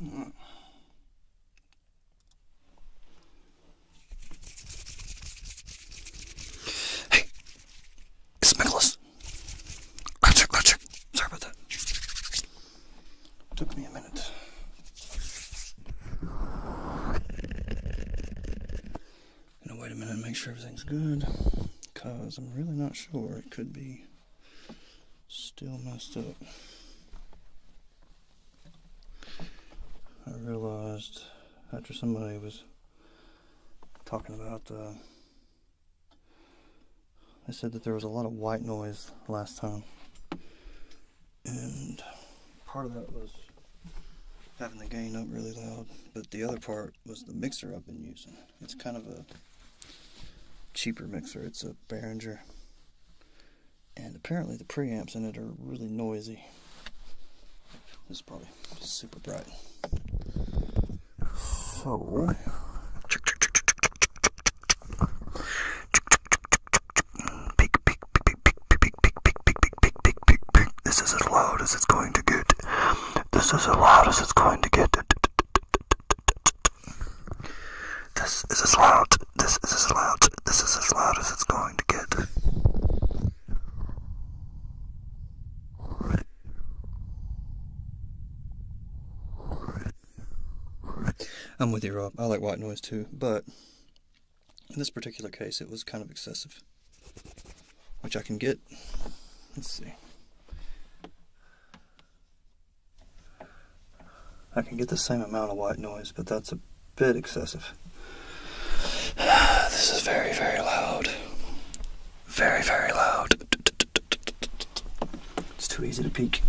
Mm. Hey, it's Nicholas. Roger, Roger. Sorry about that. Took me a minute. I'm gonna wait a minute and make sure everything's good, cause I'm really not sure. It could be Still messed up. I realized after somebody was talking about uh, they said that there was a lot of white noise last time and part of that was having the gain up really loud but the other part was the mixer I've been using it's kind of a cheaper mixer it's a Behringer and apparently the preamps in it are really noisy. This is probably super bright. So, this is as loud as it's going to get. This is as loud as it's going to get. This is as loud, this is as loud, this is as loud as it's going to get. I'm with you, Rob. I like white noise too, but in this particular case, it was kind of excessive, which I can get. Let's see. I can get the same amount of white noise, but that's a bit excessive. This is very, very loud. Very, very loud. It's too easy to peek.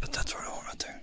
But that's where I want right there.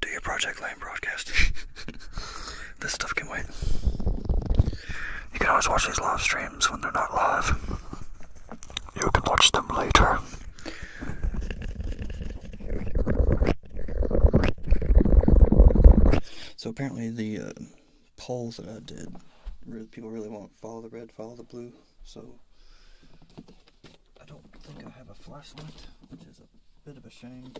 Do your Project Lane broadcast. this stuff can wait. You can always watch these live streams when they're not live. You can watch them later. So apparently the uh, polls that I did, people really want not follow the red, follow the blue. So I don't think I have a flashlight, which is a bit of a shame.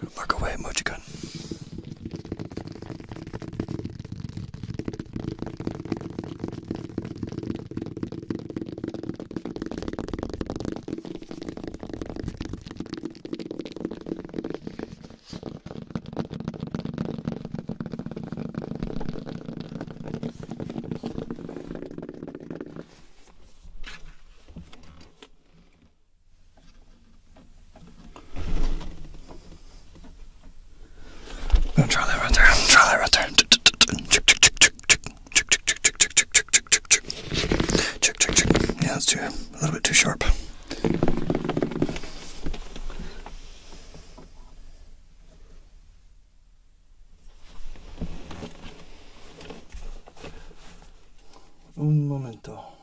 Look away, Mochigun. Don't try that right there. Try that right there. Yeah, that's too a little bit too sharp. Un momento.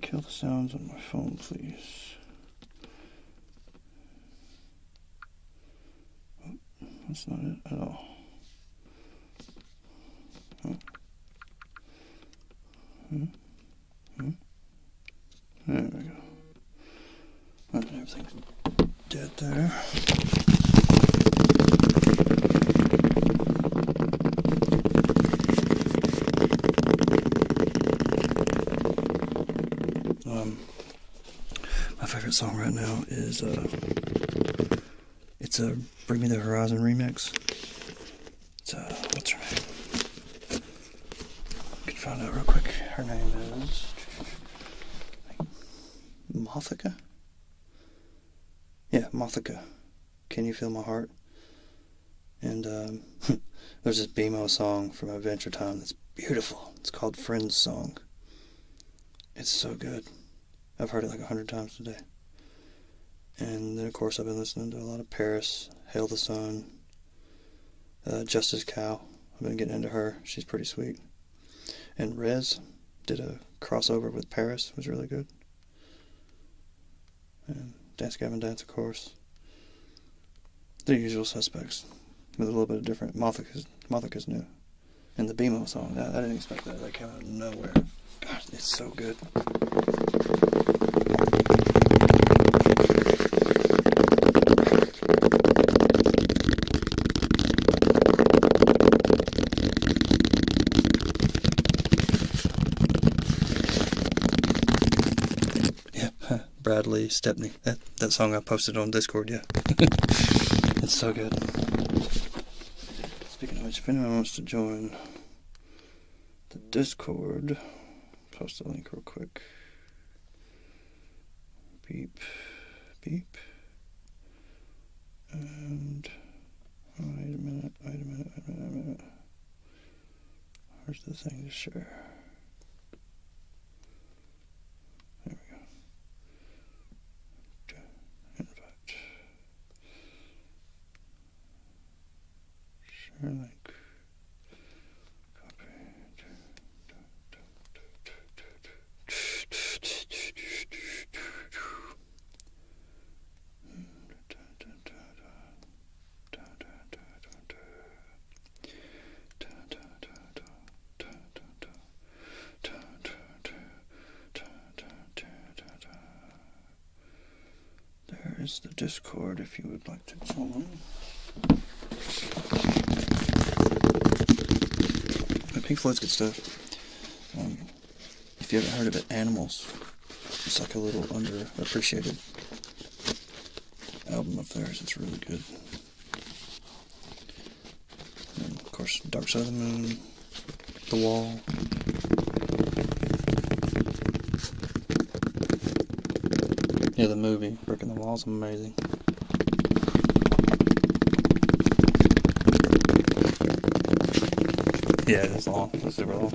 Kill the sounds on my phone, please. Oh, that's not it at all. Hmm? Hmm? There we go. And oh, everything's dead there. Um, my favorite song right now is uh, it's a Bring Me the Horizon remix. It's uh, what's her name? I can find out real quick. Her name is Mothika. Yeah, Mothika. Can You Feel My Heart? And um, there's this BMO song from Adventure Time that's beautiful. It's called Friends Song. It's so good. I've heard it like a hundred times today. And then, of course, I've been listening to a lot of Paris, Hail the Sun, uh, Justice Cow. I've been getting into her. She's pretty sweet. And Rez did a crossover with Paris. It was really good. Dance Gavin Dance, of course. The usual suspects, with a little bit of different. Mothica's, Mothica's new. And the BMO song, Yeah, I didn't expect that. That came out of nowhere. God, it's so good. Yeah, Bradley Stepney. That that song I posted on Discord. Yeah, it's so good. Speaking of which, if anyone wants to join the Discord, post the link real quick. Beep, beep, and. Oh, wait a minute, wait a minute, wait a minute. Where's the thing to share? There we go. Invite. Share link. There is the Discord if you would like to join. Pink Floyd's good stuff. Um, if you haven't heard of it, Animals. It's like a little underappreciated album of theirs. It's really good. And of course, Dark Side of the Moon, The Wall. Yeah, the movie, Breaking the Walls is amazing. Yeah, it's long. It's super long.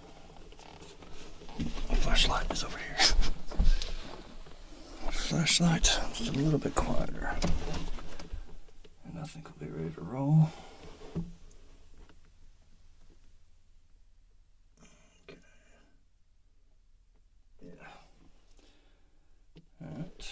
My flashlight is over here. flashlight just a little bit quieter. Nothing I will be ready to roll. Okay. Yeah. Alright.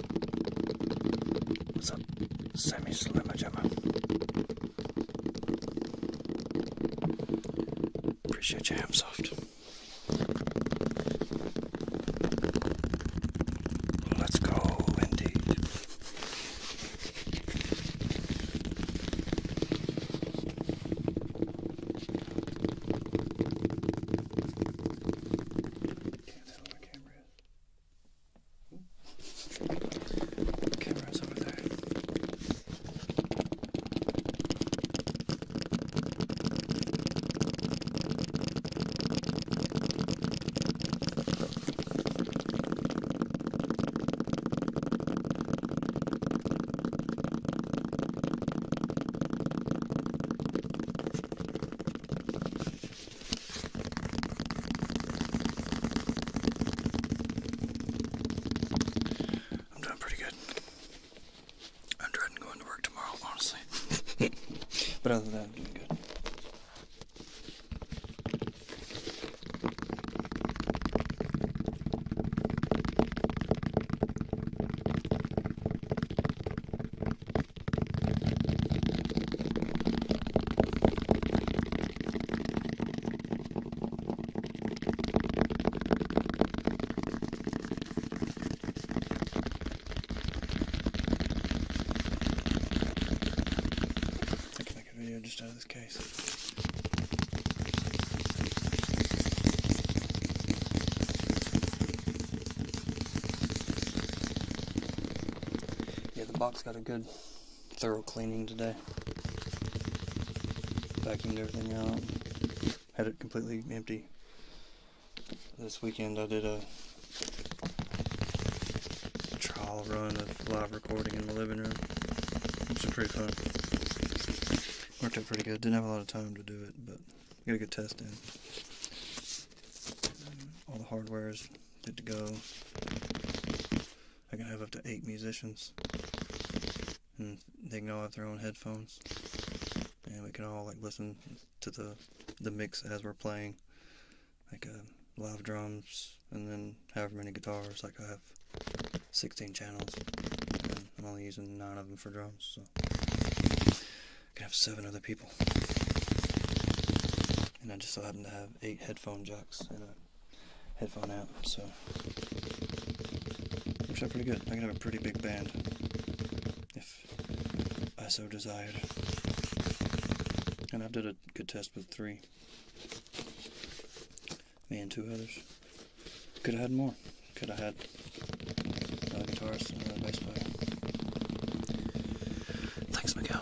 It's a semi-slimmer jammer. Appreciate your ham soft. Let's go, indeed. Okay, cameras. Cameras over there. I'm doing pretty good. I'm dreading going to work tomorrow, honestly. but other than that, I'm doing good. I can make a video just out of this case. Yeah, the box got a good thorough cleaning today. Vacuumed everything out. Had it completely empty. This weekend I did a trial run of live recording in the living room. Which was pretty fun. Worked out pretty good. Didn't have a lot of time to do it, but Got a good test in. All the hardware is good to go. I can have up to eight musicians. And they can all have their own headphones. And we can all like listen to the the mix as we're playing. Like uh, live drums and then however many guitars. Like I have 16 channels. I'm only using nine of them for drums. I could have seven other people. And I just so happened to have eight headphone jacks and a headphone amp, so looks like pretty good. I can have a pretty big band if I so desired. And I've did a good test with three. Me and two others. Could have had more. Could have had a guitarist and a bass player. Thanks, Miguel.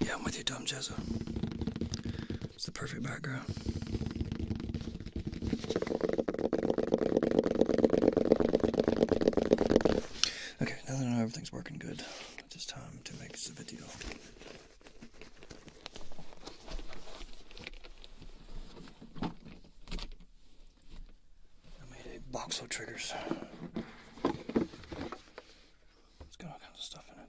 Yeah, I'm with you, Tom Jezza. It's the perfect background. Okay, now that everything's working good, it's just time to make the video. I made a box triggers. It's got all kinds of stuff in it.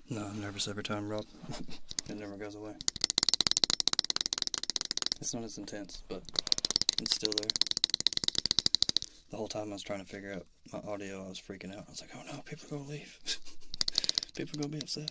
No, I'm nervous every time, Rob. it never goes away. It's not as intense, but it's still there. The whole time I was trying to figure out my audio, I was freaking out. I was like, oh no, people are going to leave. people are going to be upset.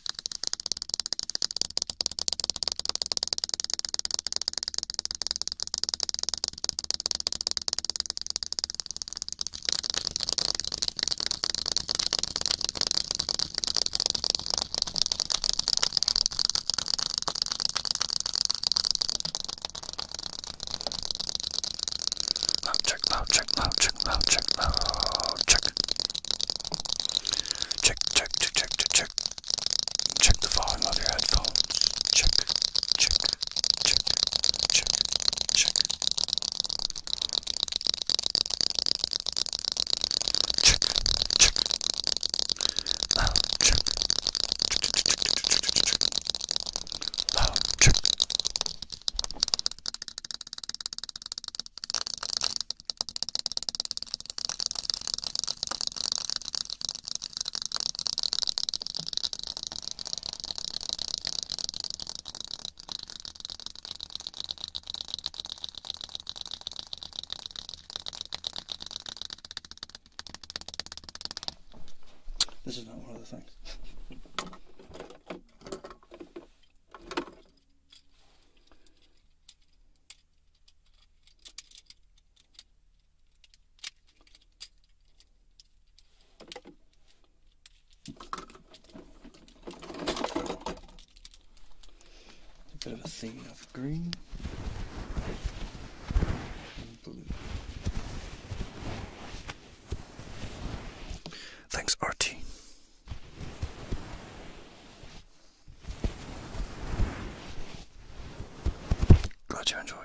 Loud check, loud check, loud check, loud check, loud check. Check, check, check, check, check, check. Check the volume of your headphones. Check, check, check, check, check. Check, check. Loud check. Check, check, check, check, check, check, check. Loud check. This is not one of the things. A bit of a theme of green and blue. Thanks, Artie. Glad you enjoy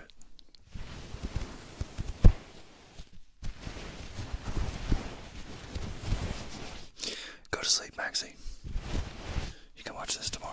Go to sleep, Maxie. You can watch this tomorrow.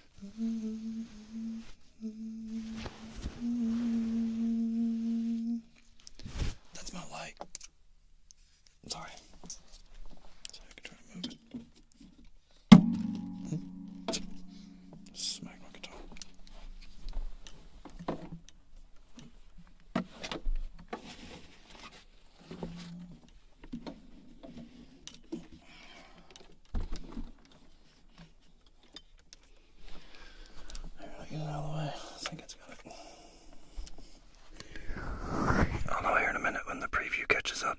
That's my light. i sorry. I can try to move it. Smack my guitar. There, I get it out of the way. I think it's got it. I'll know here in a minute when the preview catches up.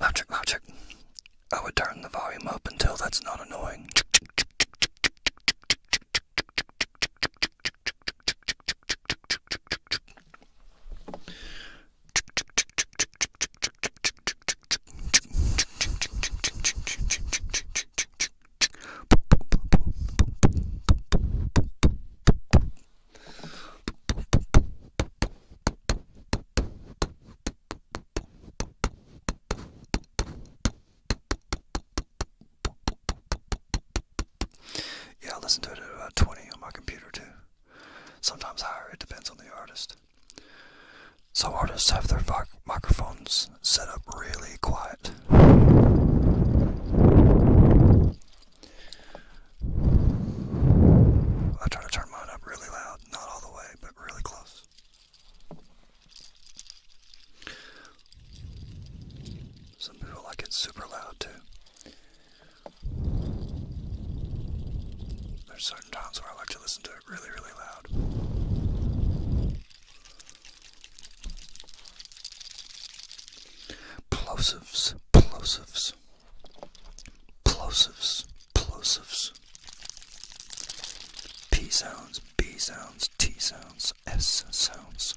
Logic, logic. I would turn the volume up until that's not annoying. Yeah, I listen to it at about 20 on my computer too. Sometimes higher, it depends on the artist. Some artists have their microphones set up really quiet. I try to turn mine up really loud, not all the way, but really close. Some people like it super loud too. There's certain times where I like to listen to it really, really loud. Plosives, plosives, plosives, plosives. P sounds, B sounds, T sounds, S sounds.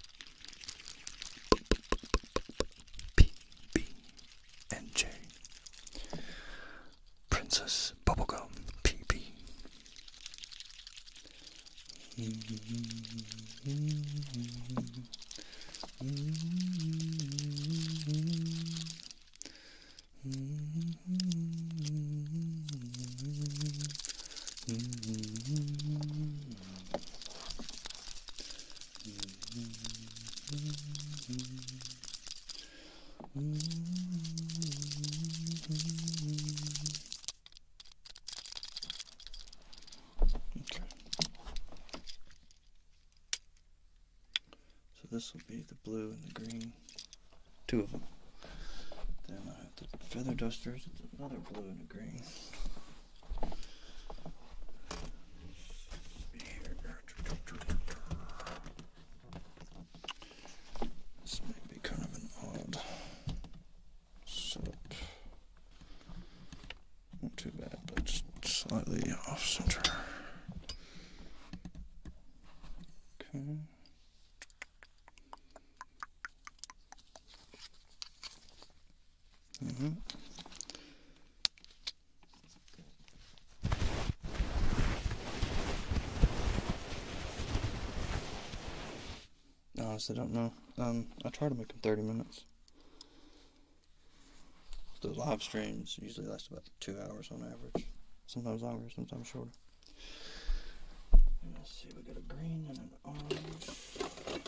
P, B, and J. Princess Bubblegum PB. So this will be the blue and the green, two of them. Then I have the feather dusters, it's another blue and a green. This may be kind of an odd setup. Not too bad, but slightly off center. Okay. Mm-hmm. Honestly, don't know. Um, I try to make them 30 minutes. The live streams usually last about two hours on average. Sometimes longer, sometimes shorter. let's see, we got a green and an orange.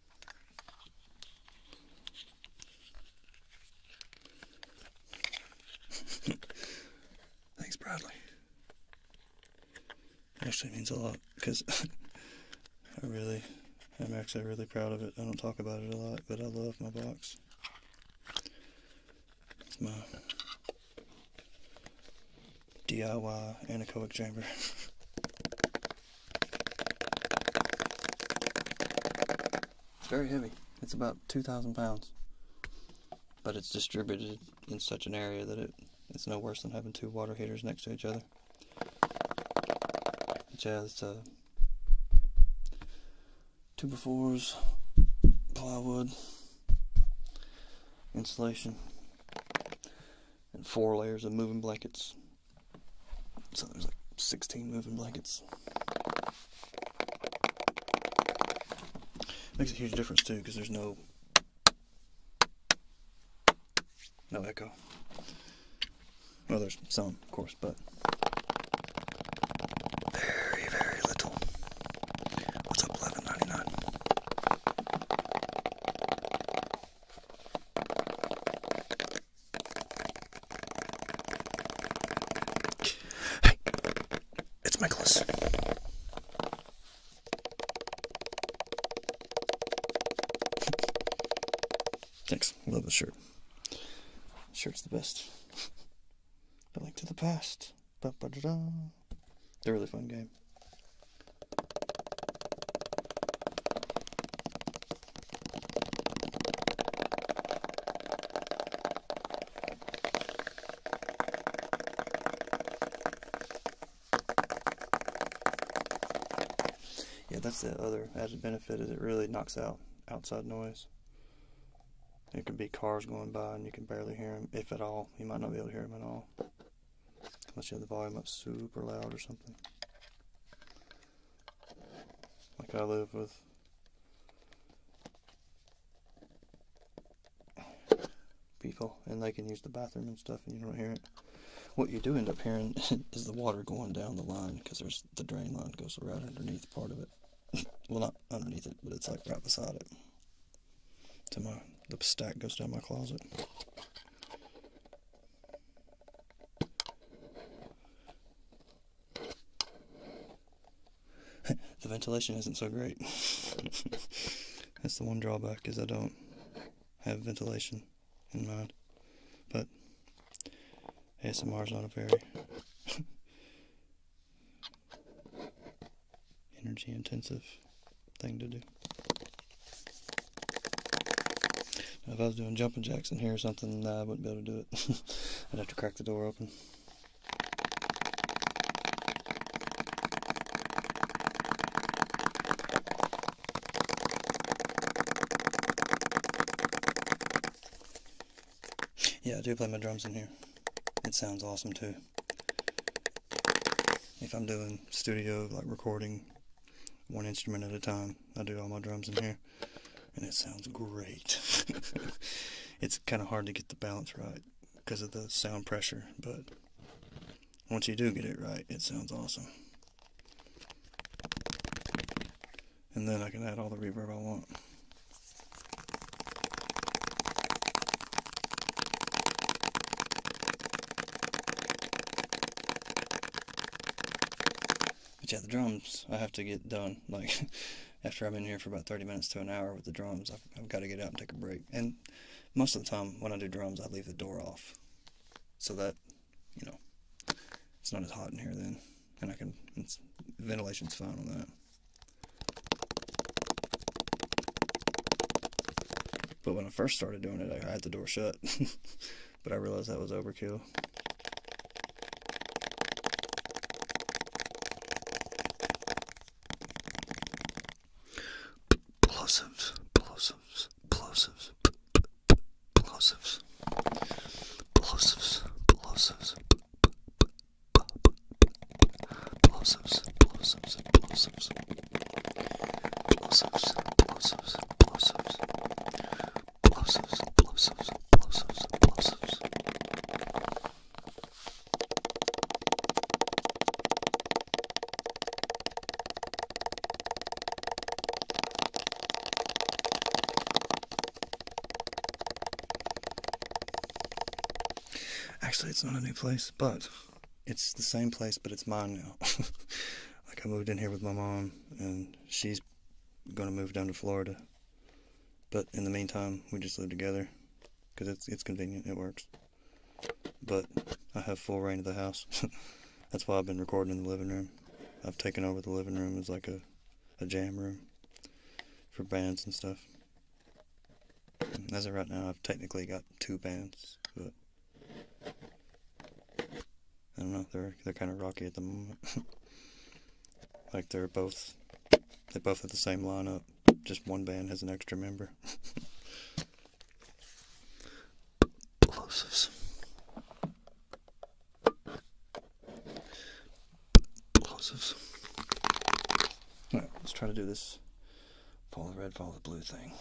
Thanks, Bradley. actually means a lot because I really, I'm actually really proud of it. I don't talk about it a lot, but I love my box. It's my DIY anechoic chamber. It's very heavy. It's about 2,000 pounds. But it's distributed in such an area that it, it's no worse than having two water heaters next to each other. It has uh, two befores, plywood, insulation, and four layers of moving blankets. So there's like 16 moving blankets. Makes a huge difference too because there's no no echo. Well, there's some, of course, but very, very little. What's up, eleven ninety nine? Hey, it's Nicholas. Thanks. Love the shirt. shirt's the best. But like to the past. Ba They're a really fun game. Yeah, that's the other added benefit is it really knocks out outside noise. It can be cars going by and you can barely hear them, if at all. You might not be able to hear them at all. Unless you have the volume up super loud or something like I live with. people and they can use the bathroom and stuff and you don't hear it. What you do end up hearing is the water going down the line because there's the drain line goes right underneath part of it. well, not underneath it, but it's like right beside it. To my the stack goes down my closet the ventilation isn't so great. That's the one drawback is I don't have ventilation in mind. But ASMR is not a very energy intensive thing to do if I was doing jumping jacks in here or something, I wouldn't be able to do it. I'd have to crack the door open. Yeah, I do play my drums in here. It sounds awesome too. If I'm doing studio, like recording one instrument at a time. I do all my drums in here, and it sounds great. it's kind of hard to get the balance right because of the sound pressure, but once you do get it right, it sounds awesome. And then I can add all the reverb I want. But yeah, the drums I have to get done. Like after I've been here for about 30 minutes to an hour with the drums, I've, I've got to get up and take a break. And most of the time when I do drums, I leave the door off so that you know it's not as hot in here then, and I can ventilation's fine on that. But when I first started doing it, I had the door shut. but I realized that was overkill. P plosives, plosives, plosives, p p plosives, plosives, plosives, plosives, Actually, it's not a new place, but it's the same place, but it's mine now. like, I moved in here with my mom, and she's gonna move down to Florida. But in the meantime, we just live together because it's it's convenient. It works. But I have full reign of the house. That's why I've been recording in the living room. I've taken over the living room as like a, a jam room for bands and stuff. As of right now, I've technically got two bands, but I don't know. They're they're kind of rocky at the moment. Like they're both, they both have the same lineup. Just one band has an extra member. Plosives. Plosives. let's try to do this follow the red, follow the blue thing.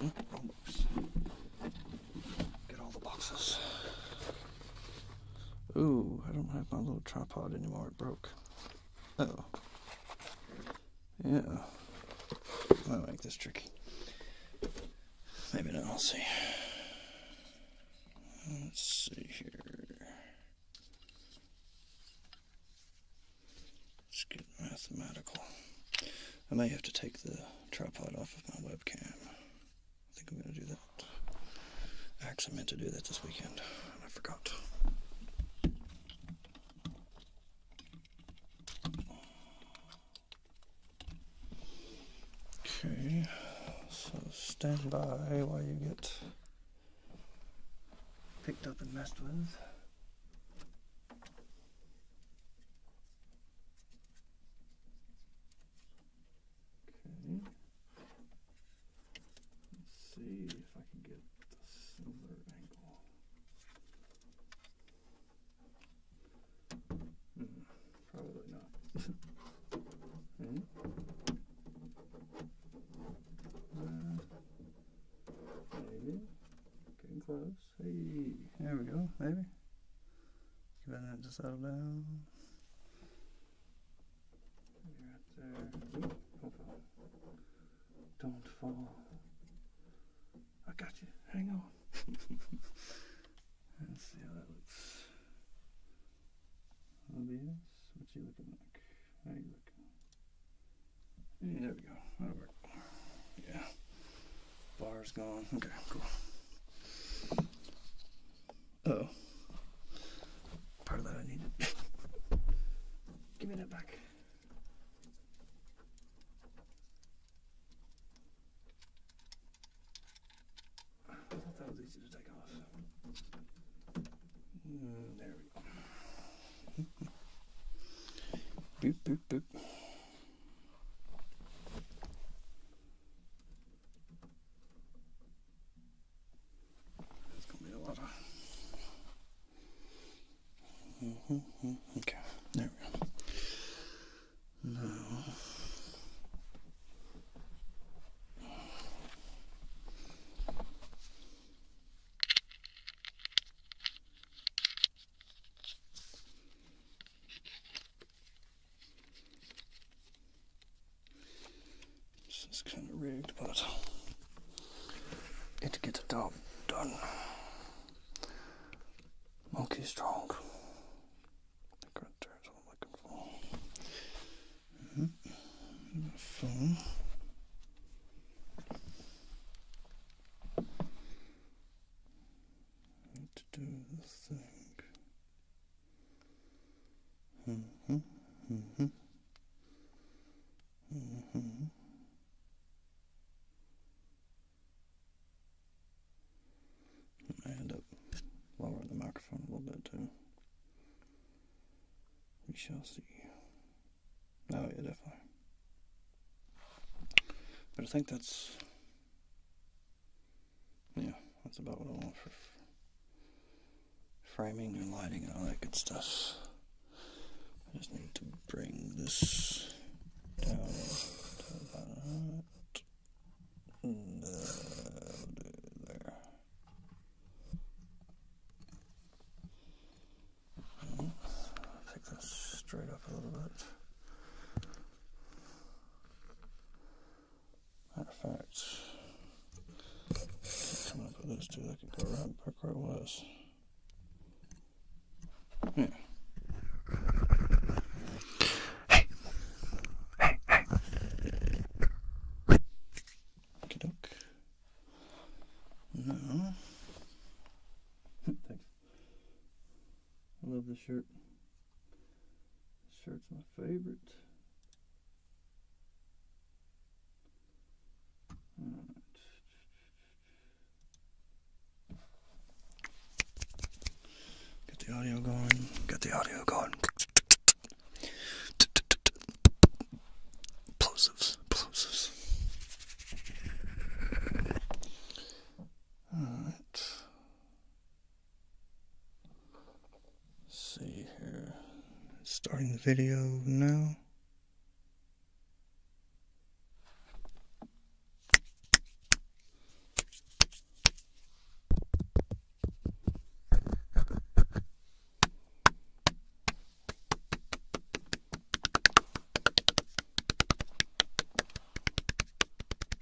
Mm Get all the boxes. Ooh, I don't have my little tripod anymore. It broke. oh. Yeah. I like this tricky. Maybe now I'll see. Let's see here. Let's get mathematical. I may have to take the tripod off of my webcam. I think I'm going to do that. Actually, meant to do that this weekend, and I forgot. Okay, so stand by while you get picked up and messed with. Okay. Let's see if I can get the silver angle. Hmm, probably not. mm. maybe. Getting close see. There we go, maybe. Give it a minute settle down. right there. don't fall. I got you. Hang on. Let's see how that looks. Obvious. What you looking like? How you looking? there we go. Yeah. Bar's gone. Okay, cool. Oh. Part of that I needed. Give me that back. I thought that was easy to take off. Mm, there we go. boop, boop, boop. It's gonna be a lot of. Mm-hmm, mm-hmm, okay, there we go. Now. This is kind of rigged, but it gets the job done. Monkey strong. Right there's I'm looking for. Mm to do the thing. Mm-hmm. Mm-hmm. Mm-hmm. I end up lowering the microphone a little bit too. We shall see. Oh yeah, definitely. But I think that's yeah, that's about what I want for framing and lighting and all that good stuff. I just need to bring this down to that. And, there. Hmm, i this straight up a little bit. Matter of fact, coming up with those two, I can go right back where it was. Yeah. Hey. Hey, hey. No. I love the shirt. This shirt's my favorite. Right. Get the audio going. Get the audio going. Plosives. Plosives. Alright. Let's see here. Starting the video now.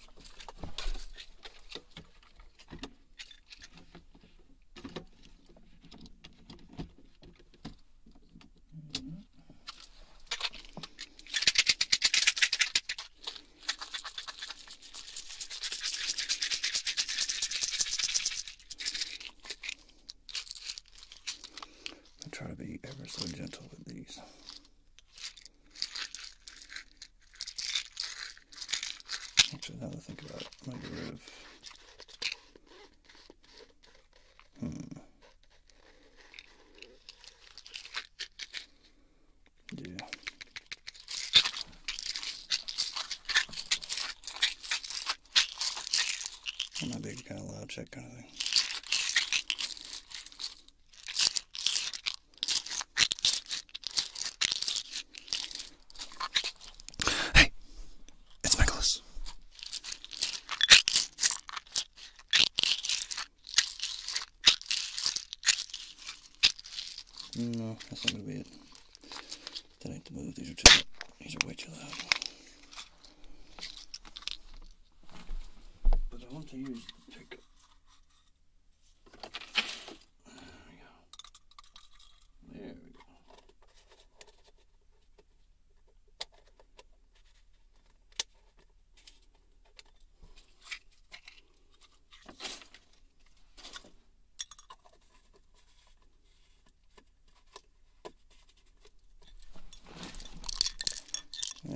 I try to be ever so gentle with these. Actually, now that I think about it, I'm going to get rid of. Hmm. Yeah. That might be a kind of loud check kind of thing. Hey, it's Nicholas. No, that's not gonna That ain't the move. These are too. These are way too loud. But I want to use the pickup there we go. There we go.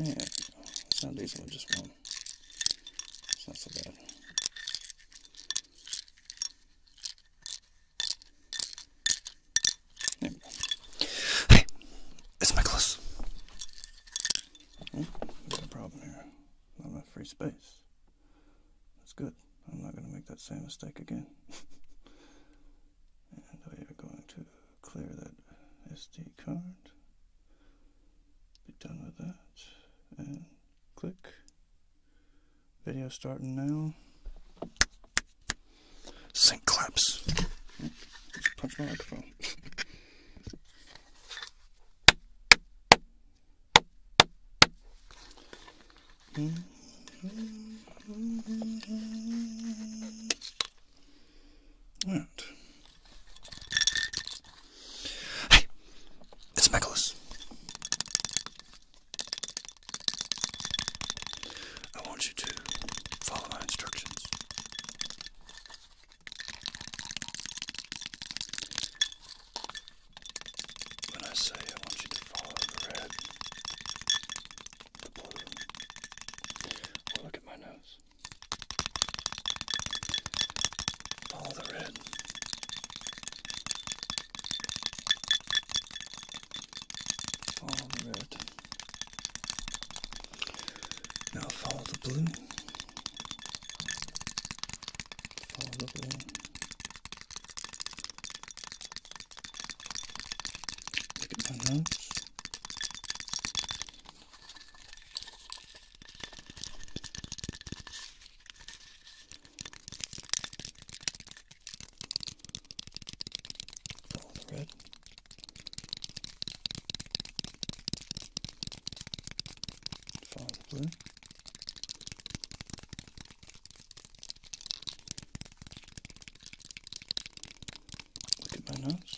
Yeah, some days I just want one. not so bad. Hey, it's my clothes. Hmm? problem here. Not enough free space. That's good. I'm not going to make that same mistake again. and we are going to clear that SD card be done with that and click video starting now sync claps punch my microphone Right. Hey, it's Nicholas. I want you to follow my instructions. When I say I want you to follow the red, the blue, look at my nose. Follow the red. Follow the red. Now follow the blue. Follow the blue. Look at my notes. Follow the red. Follow the blue. Look at my nose.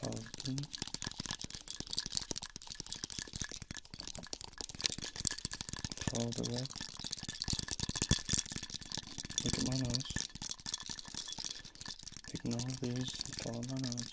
Fourteen. Fold away. Look at my nose. Ignore this. Follow my nose.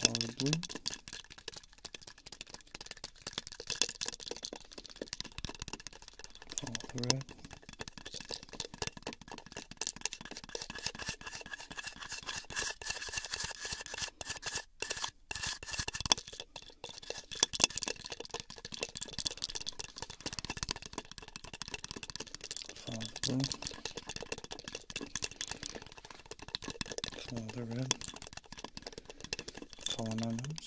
Probably. All through it. Follow the blue. Follow the red. Follow my nose.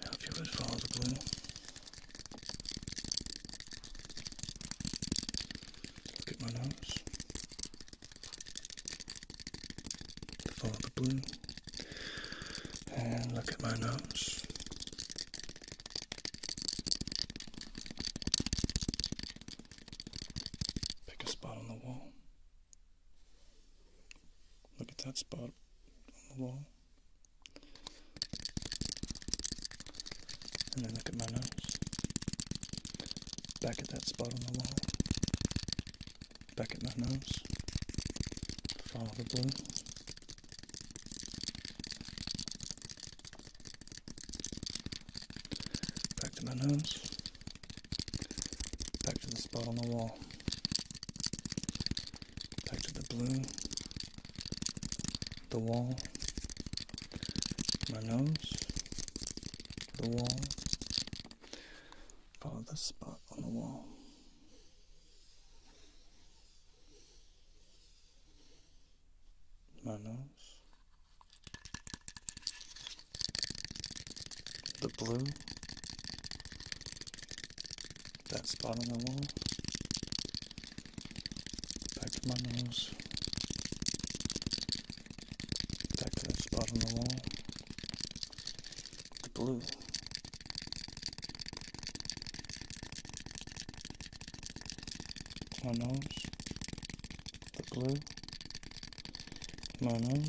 Now, if you would follow the blue, look at my nose. Follow the blue, and look at my nose. Pick a spot on the wall. Look at that spot on the wall. And then look at my nose. Back at that spot on the wall. Back at my nose. Follow the blue. Back to my nose. Back to the spot on the wall back to the blue, the wall, my nose, the wall, follow the spot on the wall. My nose, the blue, that spot on the wall. Back to my nose. Back to that spot on the wall. The blue. My nose. The blue. My nose.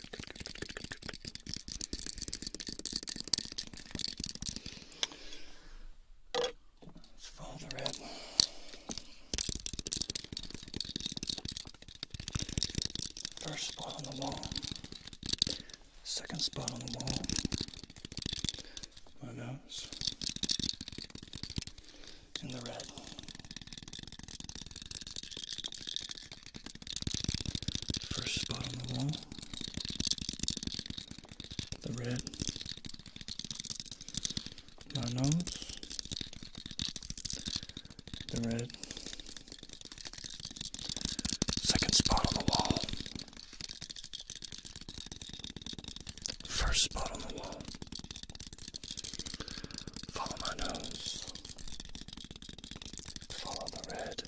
Let's follow the red. First spot on the wall. Second spot on the wall. My nose. In the red. First spot on the wall. The red. My nose. The red. Second spot on the wall. First spot on the wall. Follow my nose. Follow the red.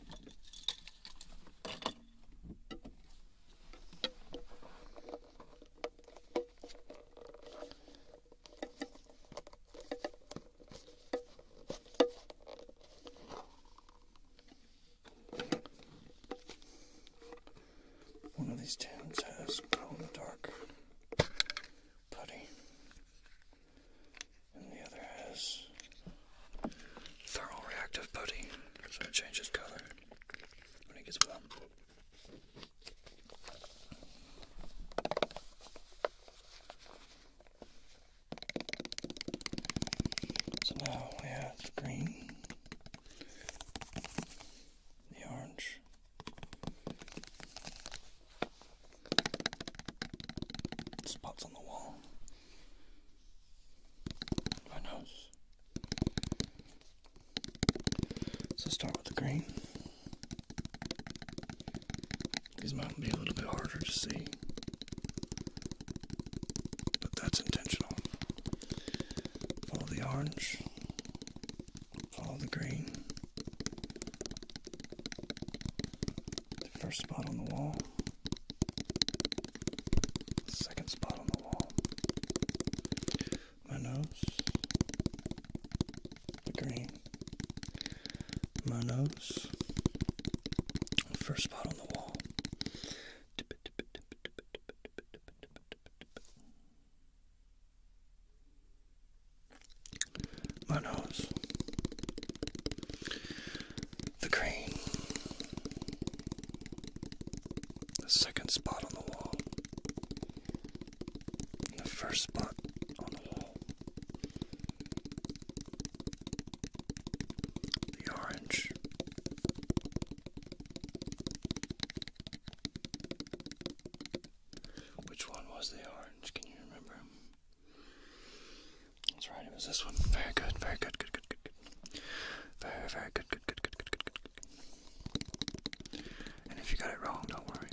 One of these tins has glow in the dark putty and the other has thermal reactive putty, so it changes color when it gets warm. So now we have the green, the orange, Spots on the wall. My nose. So start with the green. These might be a little bit harder to see. But that's intentional. Follow the orange. Follow the green. The first spot on the wall, the second spot on the wall, my nose, the green, my nose, the first spot on the wall my the crane, the second spot on the wall, the first spot on the wall, the orange. Which one was the orange? Can you remember? That's right, it was this one. Very good, very good, good, good, good, good. Very, very good, good, good, good, good, good, good, good. And if you got it wrong, don't worry.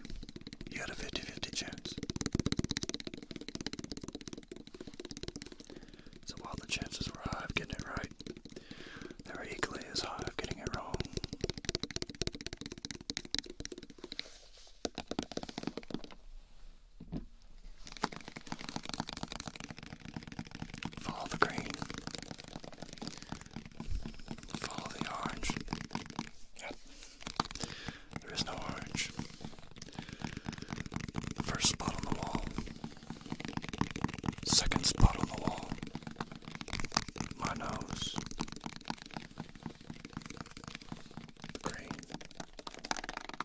You got a 50 50 chance. So while the chances were high of getting it right, they were equally as high of getting it wrong. Follow the green. Follow the orange. There is no orange. The first spot on the wall. Second spot on the wall. My nose. green.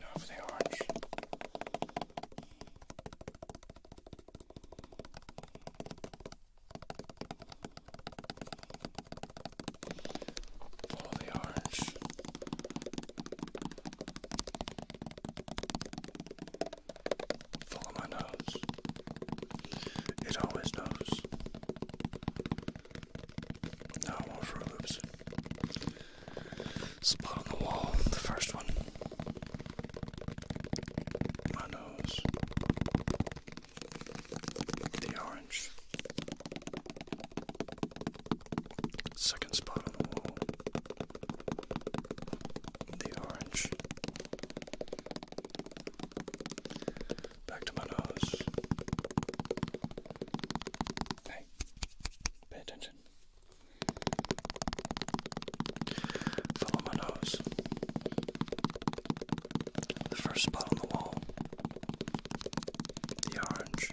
Now for the orange. Follow the orange. Follow my nose. It always knows. Now i for loops. Spot on the wall, the first one. My nose. The orange. Second spot on the wall the orange back to my nose. Hey, pay attention. Follow my nose. The first spot on the wall, the orange.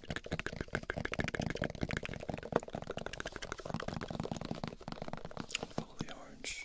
Follow the orange.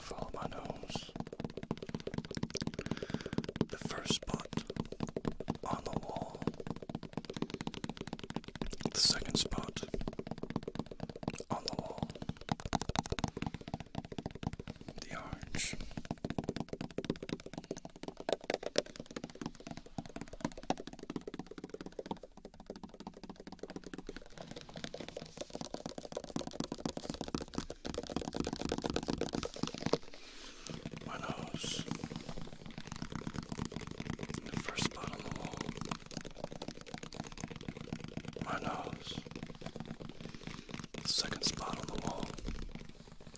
Follow my nose. The first spot on the wall. The second spot on the wall. The orange. My nose. The first spot on the wall. My nose. The second spot on the wall.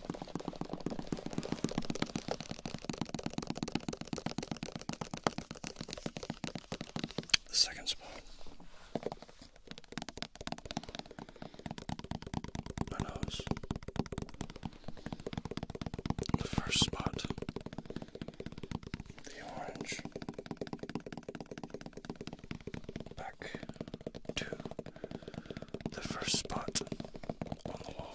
The second spot. My nose. The first spot. The orange. Back to the first spot on the wall.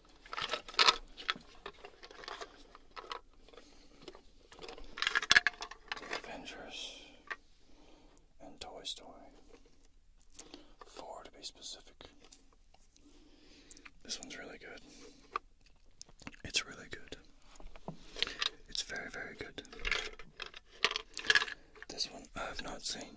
Avengers and Toy Story. Four to be specific. This one's really good. It's really good. It's very, very good. This one I have not seen.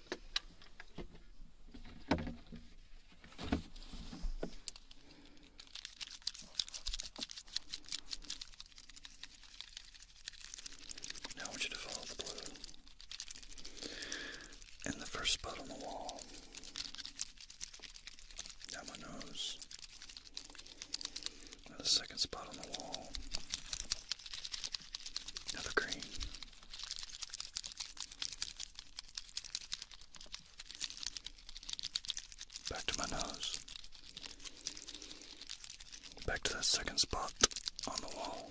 Now I want you to follow the blue and the first spot on the wall. Down my nose. the second spot on the wall. Now the green. Back to my nose. Back to that second spot on the wall.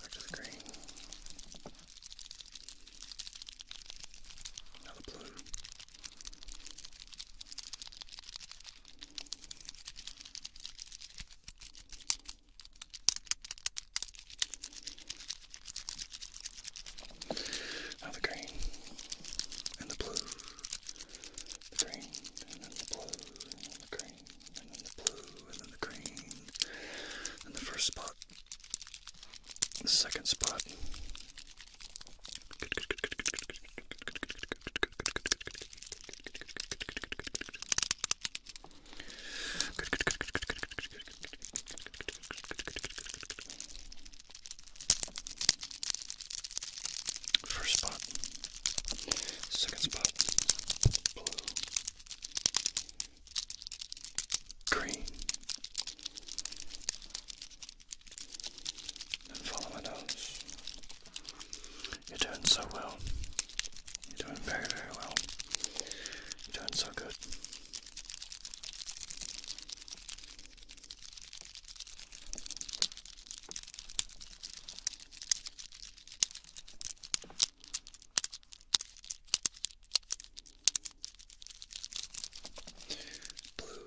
Back to the green. Now the blue. Now the green and the blue, the green and then the blue, and then the green and then the blue, and then the green, and the first spot, the second spot, First spot, second spot, blue, green, follow my nose. You're doing so well. You're doing very, very well. You're doing so good. Blue,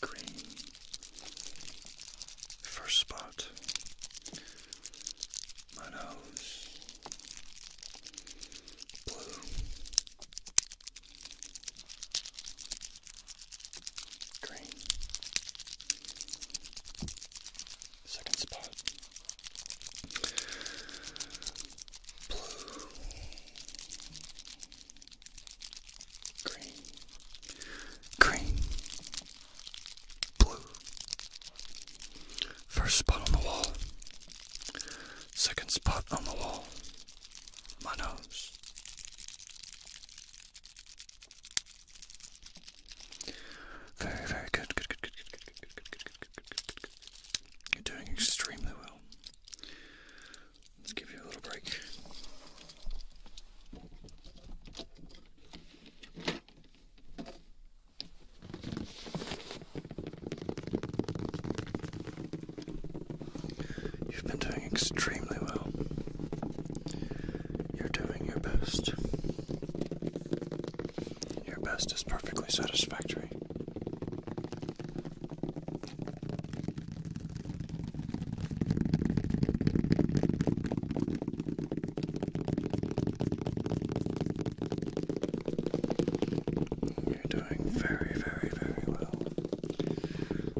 green. First spot, my nose, Green. Second spot. Blue green, green, blue. First spot on the wall, second spot on the wall, my nose. Very, very good, good, good, good, good, good, good, good, good, good, good, good, good, good. You're doing extremely well. Let's give you a little break. You've been doing extremely well. You're doing your best. Your best is perfectly satisfactory. You're doing very, very, very well.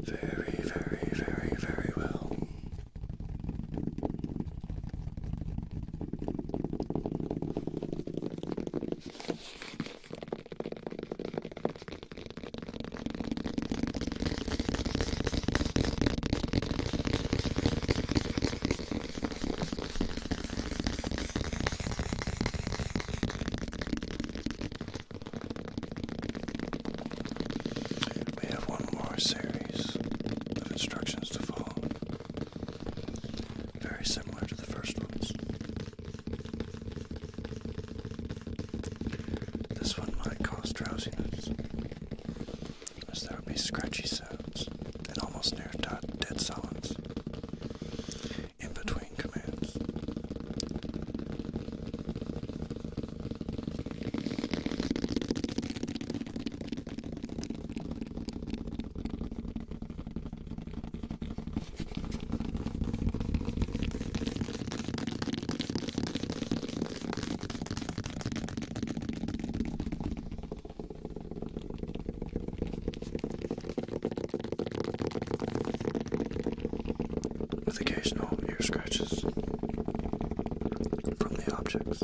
Very, very, very, very well. We have one more series of instructions to follow, very similar to the first ones. This one might cause drowsiness, as there would be scratchy sounds and almost near dead silence in between commands. With occasional ear scratches from the objects.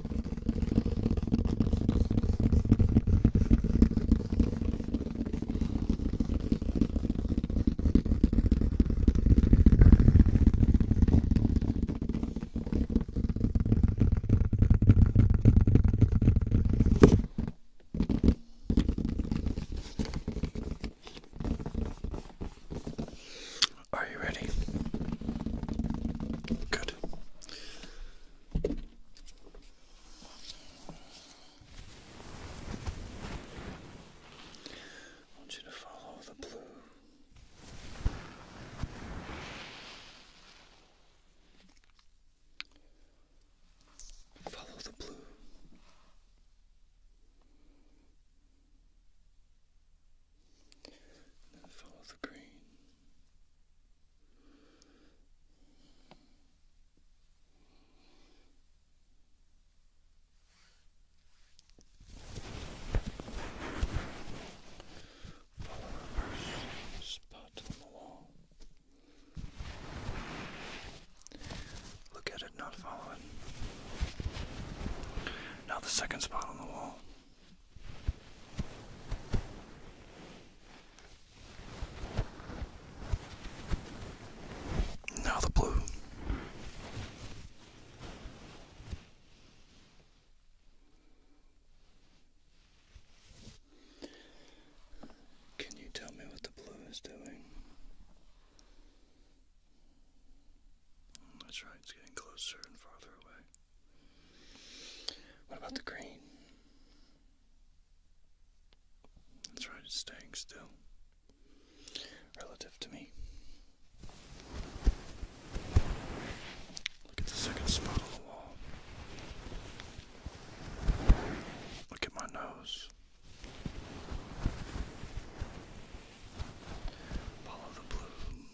Are you ready? Good. I want you to follow the blue. Follow the blue. follow the green. Follow the first spot on the wall. Look at it, not follow it. Now the second spot on the wall. Now the blue. Can you tell me what the blue is doing? That's right, it's getting closer and farther away. What about the green? That's right, it's staying still relative to me. Look at the second spot on the wall. Look at my nose. Follow the blue.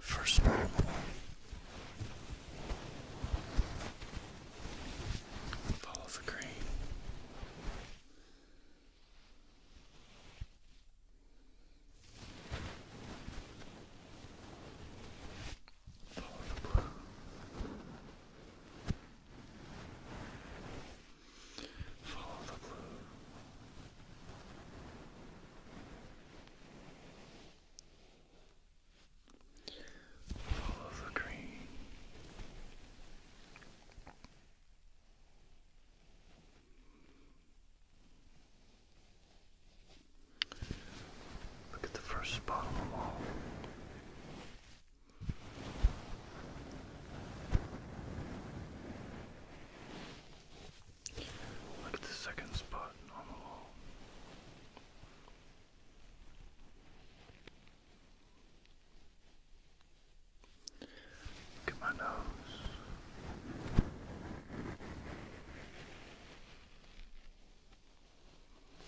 First part of the Follow the grain. Follow the blue. Follow the blue. Follow the green. Look at the first spot on the wall. Look at the second spot on the wall. Look at my nose.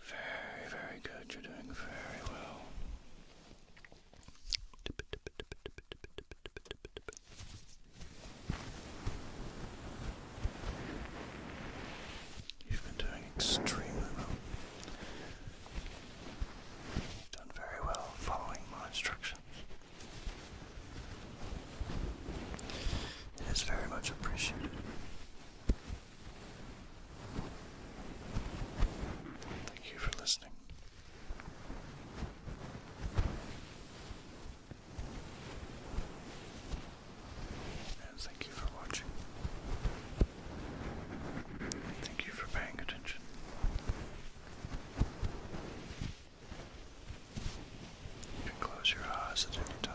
Very, very good. You're doing very well. You've been doing extremely well. You've done very well following my instructions. It is very much appreciated. Thank you for listening. And thank you for watching. Thank you for paying attention. You can close your eyes at any time.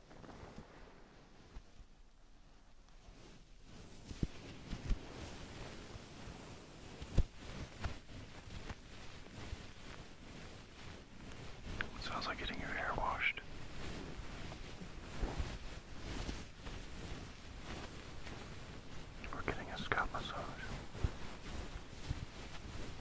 Sounds like getting your hair washed. We're getting a scalp massage.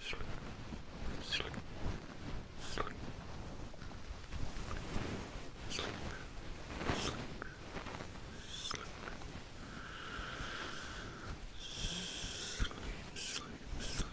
Slick. Slick. Slick. Slick. Slick. Slick. Sleep, sleep, sleep, sleep, sleep.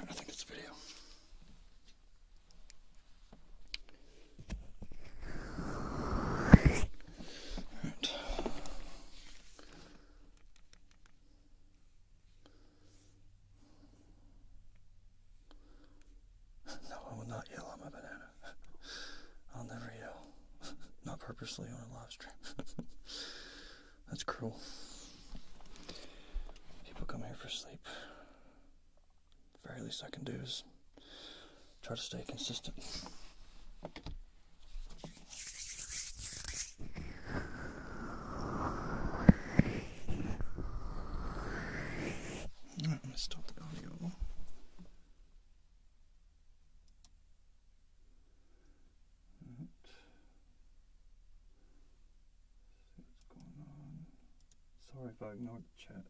I think it's a video. No, I will not yell at my banana. I'll never yell. Not purposely on a live stream. That's cruel. People come here for sleep. The very least I can do is try to stay consistent. I'm going to stop the audio. Sorry if I ignored the chat.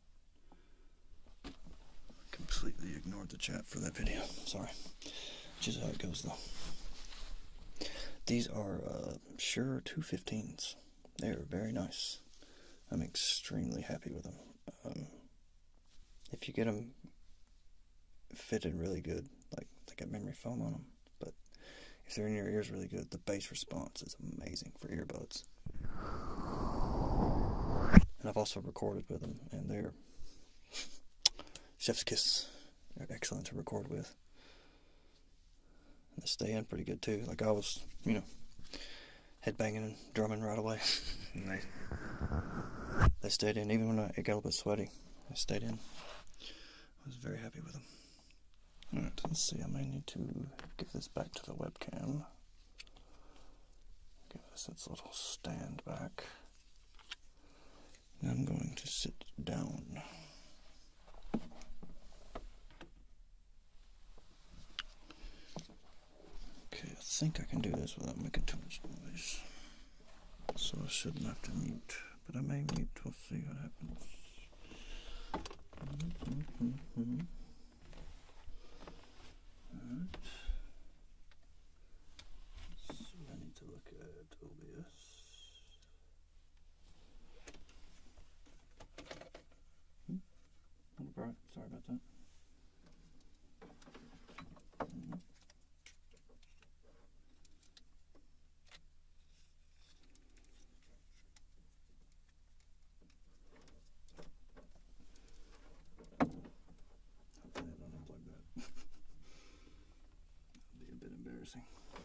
completely ignored the chat for that video. Sorry. Which is how it goes though. These are uh, Sure 215s. They are very nice. I'm extremely happy with them. Um, if you get them fitted really good. Like they got memory foam on them, but if they're in your ears really good, the bass response is amazing for earbuds. And I've also recorded with them, and they're chef's kiss. They're excellent to record with. they stay in pretty good too. Like I was, you know, headbanging and drumming right away. they, they stayed in, even when I, it got a little bit sweaty. They stayed in. I was very happy with them. Alright, let's see, I may need to give this back to the webcam. Give this its little stand back. I'm going to sit down. Okay, I think I can do this without making too much noise. So I shouldn't have to mute, but I may mute. to see what happens. So I need to look at OBS. Hmm? Sorry about that. Hmm? Hopefully I don't unplug that. That'd be a bit embarrassing. Right.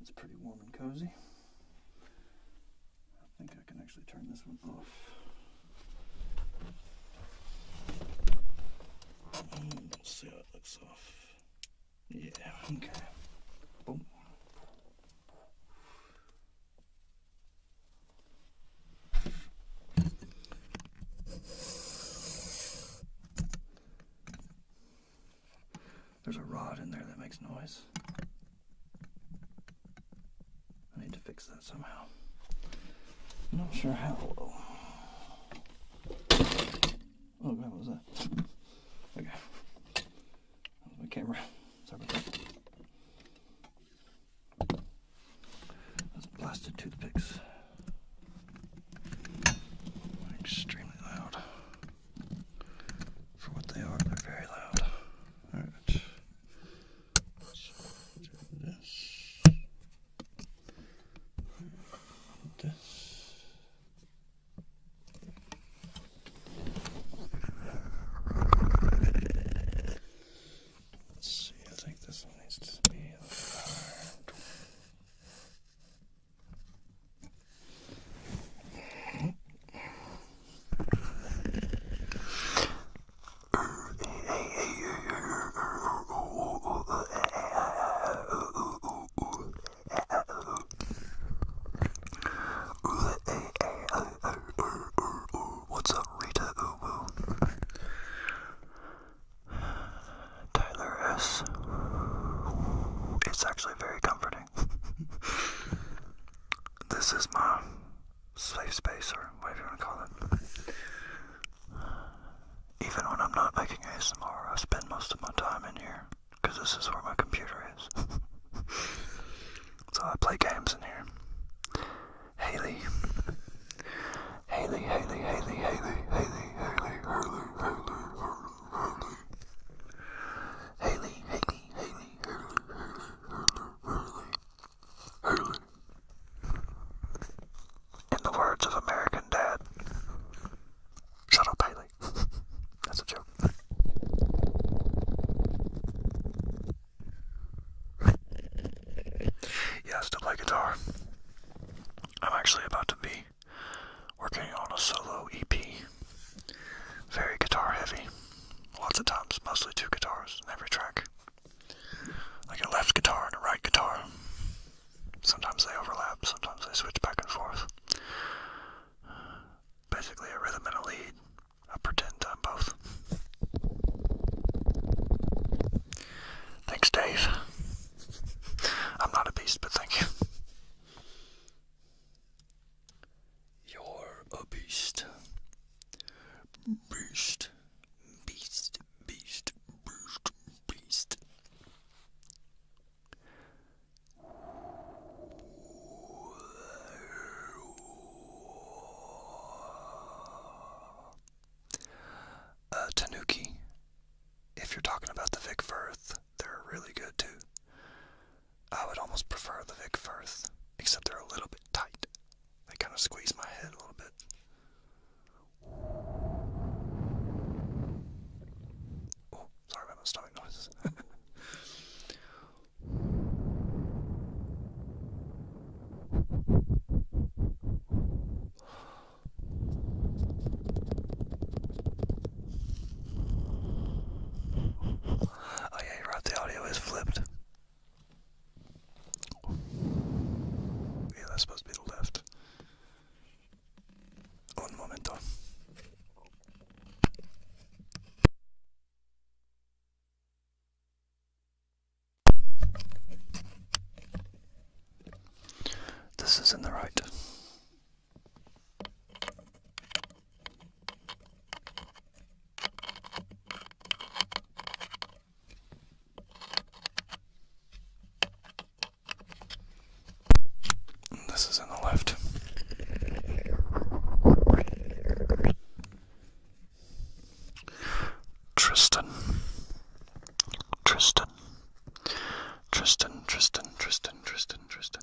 It's pretty warm and cozy. I think I can actually turn this one off. Mm, see how it looks off. Yeah, okay. Boom. There's a rod in there that makes noise. I need to fix that somehow. I'm not sure how. Oh, God, what was that? Okay. That was my camera. Sorry Those blasted toothpicks. Extremely loud for what they are. They're very loud. All this. This. Let's see, I think this one What's up, Rita Ubu? Tyler S. It's actually very comforting kidding. this is my safe space, or whatever you want to call it. Even when I'm not making ASMR, I spend most of my time in here because this is where my computer is. so I play games in here. Haley. Haley, Haley, Haley, Haley, Haley, Haley, Haley, Haley, Haley, Haley. Haley, Haley, Haley, Haley, Haley, Haley, In the words of American Dad, shut up, Haley. That's a joke. Yes, to play guitar. I'm actually about to be working on a solo EP. Very guitar heavy. Lots of times, mostly two guitars in every track. Like a left guitar and a right guitar. Sometimes they overlap, sometimes they switch back and forth. Basically, a rhythm and a lead. I pretend I'm both. Thanks, Dave. I'm not a beast, but thank you. You're a beast. Beast. Beast. Beast. Beast. Beast. Uh, Tanuki. If you're talking about the Vic Firth, they're really good too. I would almost prefer the Vic Firth, except they're a little bit tight. They kind of squeeze my head a little bit. Oh, sorry about my stomach noises. Oh yeah, right, the audio is flipped. Yeah, that's supposed to be the left. Un momento. This is in the right. This is in the left. Tristan. Tristan. Tristan, Tristan, Tristan, Tristan, Tristan,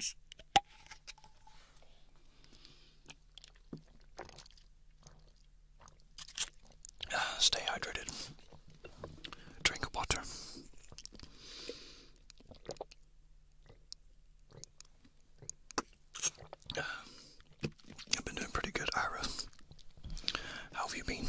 Stay hydrated. Drink water. I've been doing pretty good, Ira. How have you been?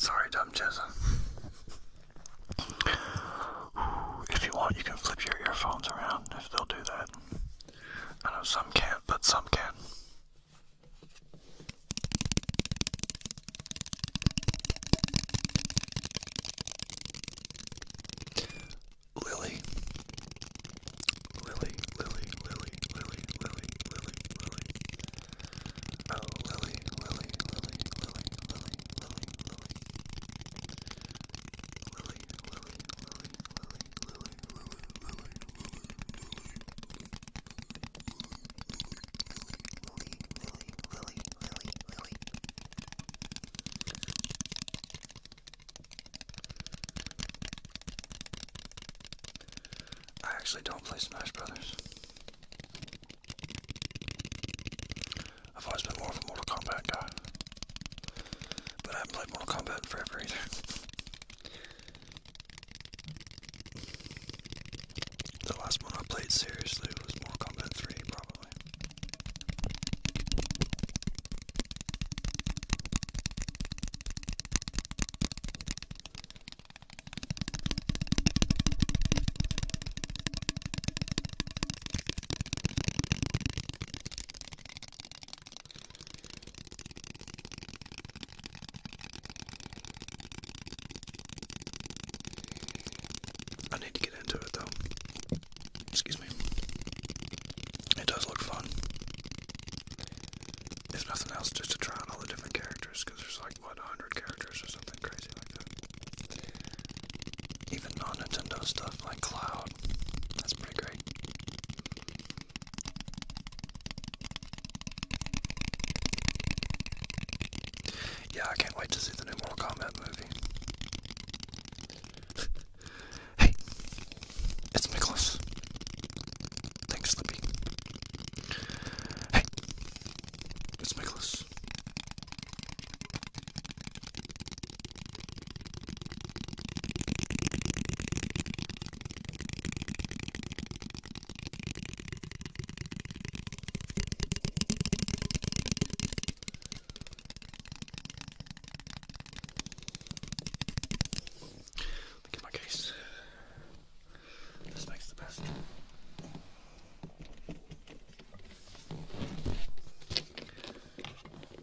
Sorry, dumb chaser. If you want, you can flip your earphones around if they'll do that. I know some can't, but some can. Lily, Lily, Lily, Lily, Lily, Lily, Lily, Oh, Lily, Lily, Lily, Lily, Lily, Lily, Lily, Lily, I actually don't play Smash Brothers. I've always been more of a Mortal Kombat guy. But I haven't played Mortal Kombat in forever either. The last one I played seriously was Mortal Combat 3, probably. I need to get into it though. Excuse me. It does look fun. If nothing else, just to try out all the different characters, because there's like, what, 100 characters or something crazy like that. Even non Nintendo stuff like Cloud. That's pretty great. Yeah, I can't wait to see the new Mortal Kombat movie. hey, it's Nicholas. Thanks, Slippy. Hey, it's Nicholas. Look at my case. This makes the best.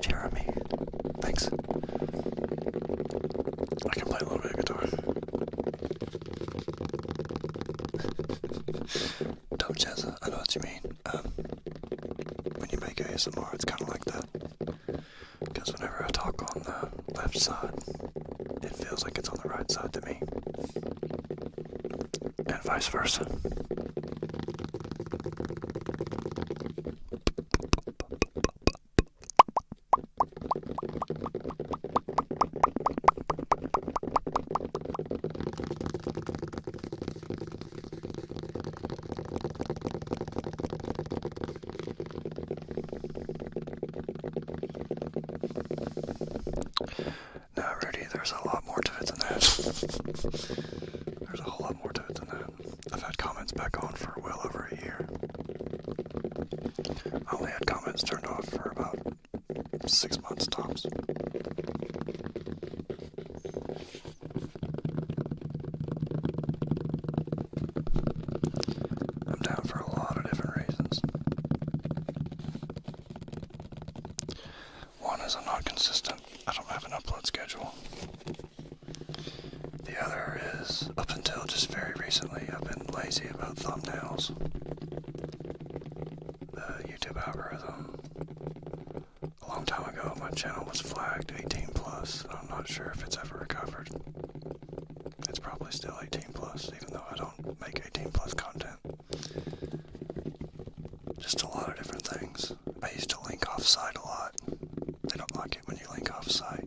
Jeremy, thanks. I can play a little bit of guitar. Dog Jazza, I know what you mean. Um, when you make ASMR, it's kind of like that. Because whenever I talk on the left side, it feels like it's on the right side to me and vice versa. No, Rudy, there's a lot more to it than that. there's a whole lot more to it than that. I've had comments back on for well over a year. I only had comments turned off for about six months tops. I'm down for a lot of different reasons. One is I'm not consistent, I don't have an upload schedule. The other is, up until just very recently, I've been lazy about thumbnails. The YouTube algorithm. A long time ago, my channel was flagged 18 plus, and I'm not sure if it's ever recovered. It's probably still 18 plus, even though I don't make 18 plus content. Just a lot of different things. I used to link offside a lot. They don't like it when you link offside.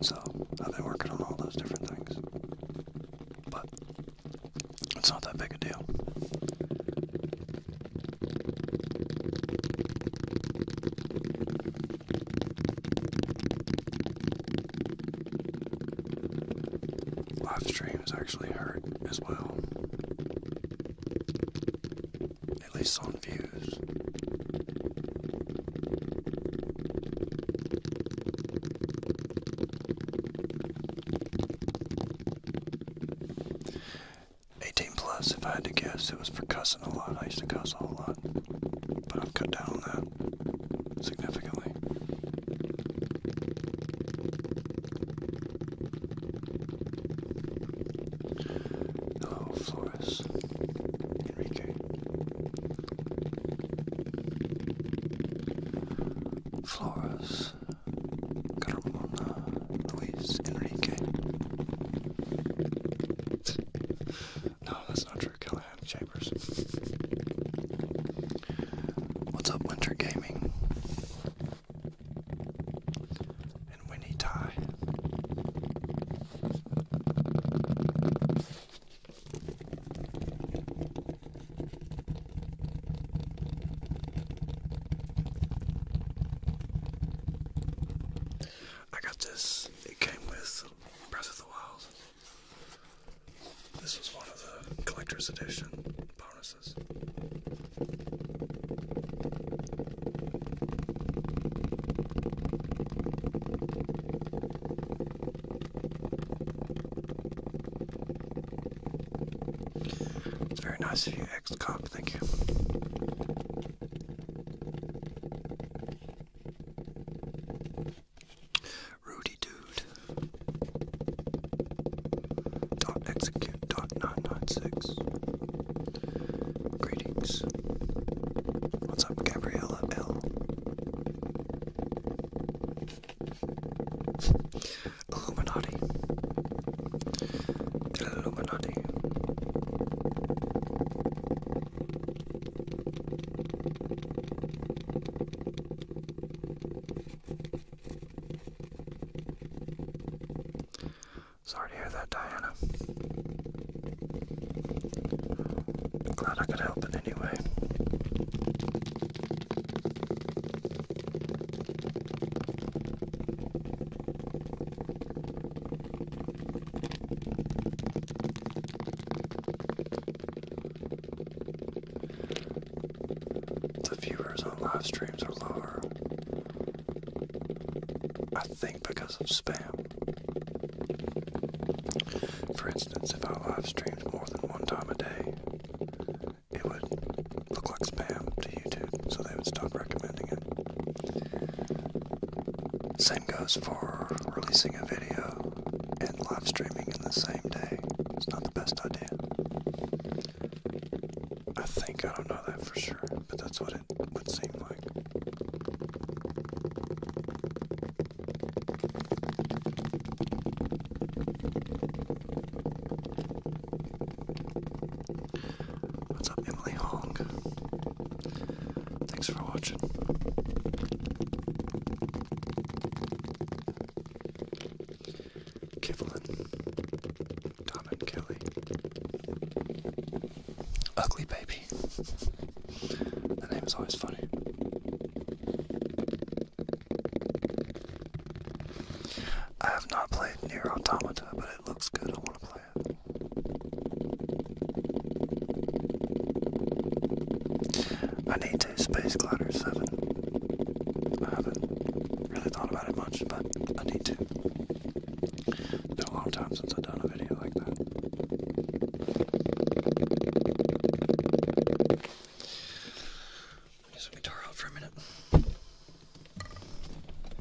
So I've been working on all those different things. But it's not that big a deal. Live streams actually hurt as well. At least on views. Eighteen plus, if I had to guess, it was for cussing a lot. I used to cuss a whole lot. But I've cut down on that significantly. Oh, Flores. Enrique. Flores. Carmona. Luis. Enrique. no, that's not true. Callahan Chambers. What's up, Winter Gaming? and Winnie Ty. I got this, it came with Breath of the Wild. This was one of the collector's edition bonus it's very nice of you, ex cop. Thank you. Rudy Dude. Dot execute. 2.996. Greetings. What's up, Gabriella L? Illuminati. Illuminati. Sorry to hear that, Diana. Glad I could help in any way. The viewers on live streams are lower I think because of spam. For instance, if I live streamed more than one time a day, it would look like spam to YouTube, so they would stop recommending it. Same goes for releasing a video and live streaming in the same day. It's not the best idea. I think, I don't know that for sure, but that's what it would seem like. What's up, Emily Hong? Thanks for watching. Kevlin, Tom and Kelly, Ugly Baby. The name is always funny. I have not played Near Automata, but it looks good. I want to play it. I need to Space Glider 7. I haven't really thought about it much, but I need to. It's been a long time since I've done a video like that. Get some guitar out for a minute.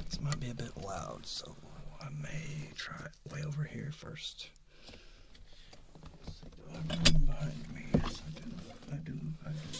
This might be a bit loud, so I may try way over here 1st do I have behind me? Yes, I do. I do. I do.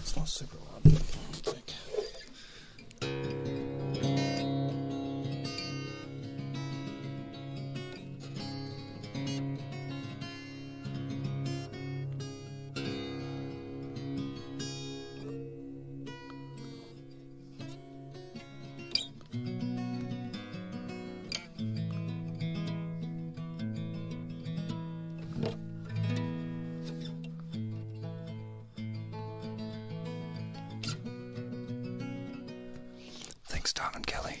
It's not super loud. Thanks, Don and Kelly.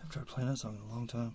I've tried playing that song in a long time.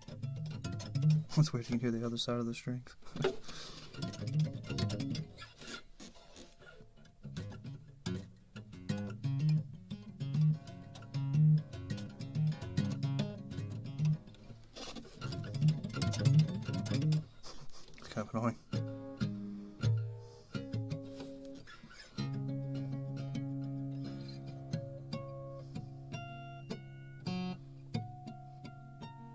Let's wait till you hear the other side of the strings. kind of annoying.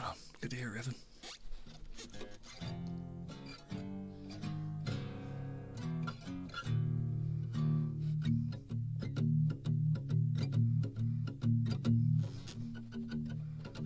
Oh, good to hear, Evan.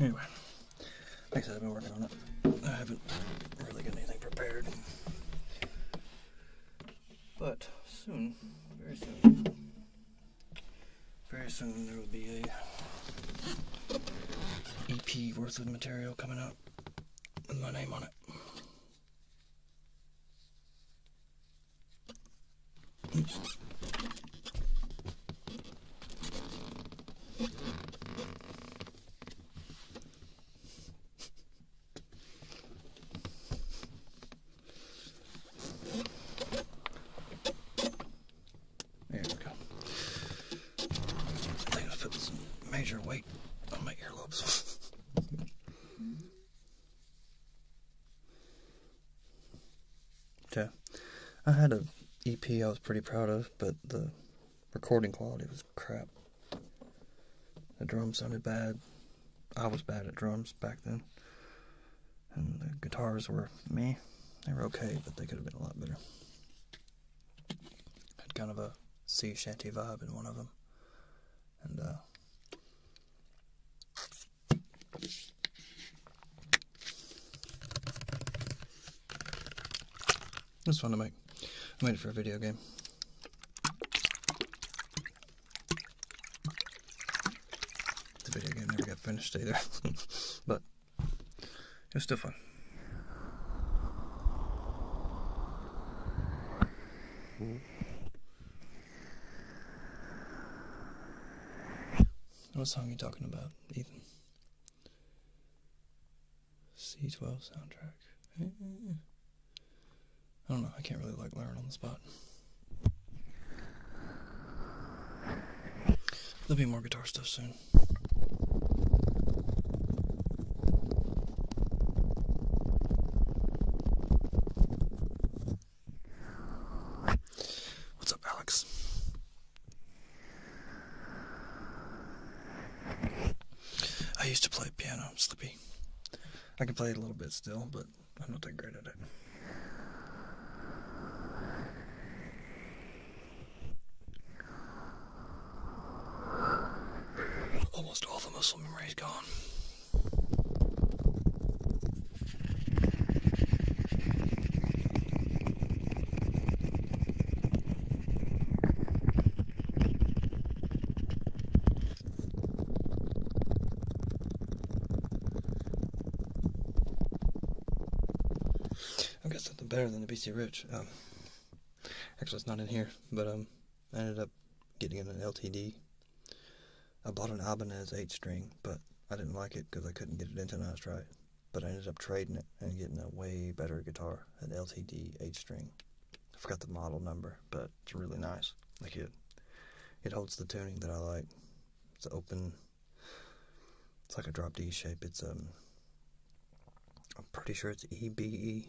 Anyway, like I said, I've been working on it. I haven't really got anything prepared. But soon, very soon, very soon there will be a EP worth of material coming out with my name on it. There we go. I think I put major weight on my earlobes. yeah, I had an EP I was pretty proud of, but the recording quality was crap. The drums sounded bad. I was bad at drums back then. And the guitars were me. They were okay, but they could have been a lot better. Had kind of a sea shanty vibe in one of them. And, uh, It fun to make. I made it for a video game. The video game never got finished either, but it was still fun. What song are you talking about, Ethan? C12 soundtrack. I don't know. I can't really like learn on the spot. There'll be more guitar stuff soon. What's up, Alex? I used to play piano, Slippy. I can play it a little bit still, but I'm not that great at it. Almost all the muscle memory is gone. I've got something better than the BC Rich. Um, actually, it's not in here, but um, I ended up getting an LTD. I bought an Ibanez 8 string, but I didn't like it because I couldn't get it into intonized right. But I ended up trading it and getting a way better guitar, an LTD 8 string. I forgot the model number, but it's really nice. Like it, it holds the tuning that I like. It's open. It's like a drop D shape. It's um. I'm pretty sure it's E B E.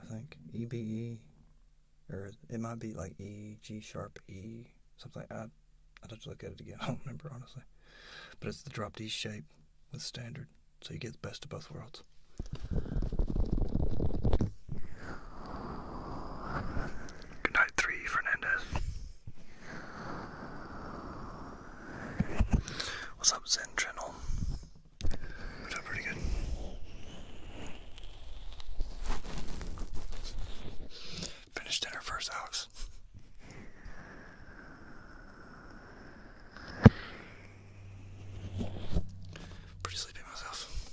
I think EBE, or it might be like E G sharp E something. I I'd have to look at it again. I don't remember honestly, but it's the drop D shape with standard, so you get the best of both worlds out. Good night, three Fernandez. What's up, Zen Channel? We're doing pretty good. Finish dinner first, Alex. Pretty sleepy myself.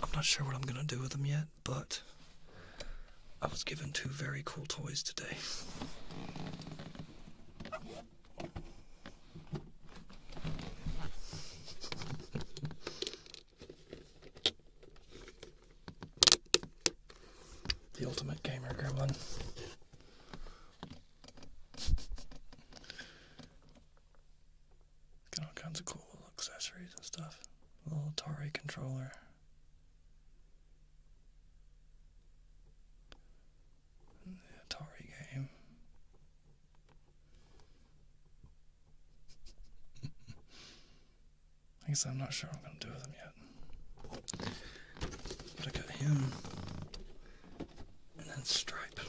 I'm not sure what I'm gonna do with them yet, but I was given two very cool toys today. The ultimate gamer gremlin. Got all kinds of cool accessories and stuff. little Atari controller. the Atari game. I guess I'm not sure what I'm gonna do with him yet. But I got him and then Stripe.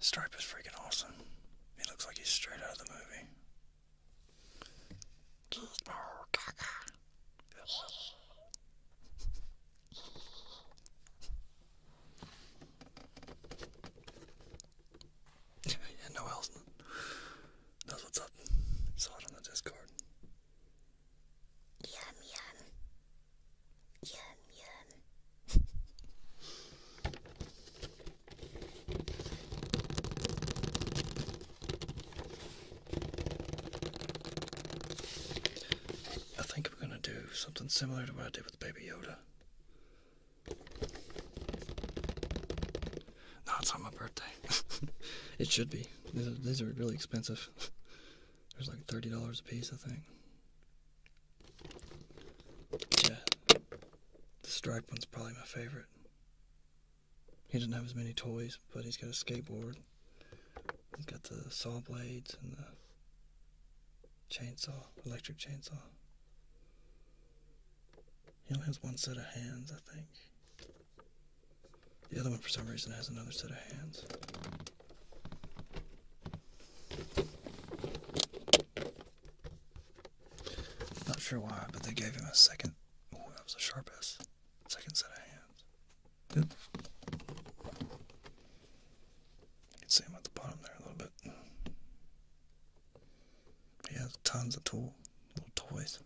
Stripe is freaking awesome. He looks like he's straight out of the movie. yeah, no else knows what's up. Saw it on the Discord. Yum yum. Yum yum. I think I'm gonna do something similar to what I did with Baby Yoda. No, it's not my birthday. it should be. These are, really expensive. There's like $30 a piece, I think. Yeah. The striped one's probably my favorite. He doesn't have as many toys, but he's got a skateboard. He's got the saw blades and the chainsaw, electric chainsaw. He only has one set of hands, I think. The other one, for some reason, has another set of hands. Not sure why, but they gave him a second. Oh, that was a sharp Second set of hands. Good. You can see him at the bottom there a little bit. He has tons of toys. He's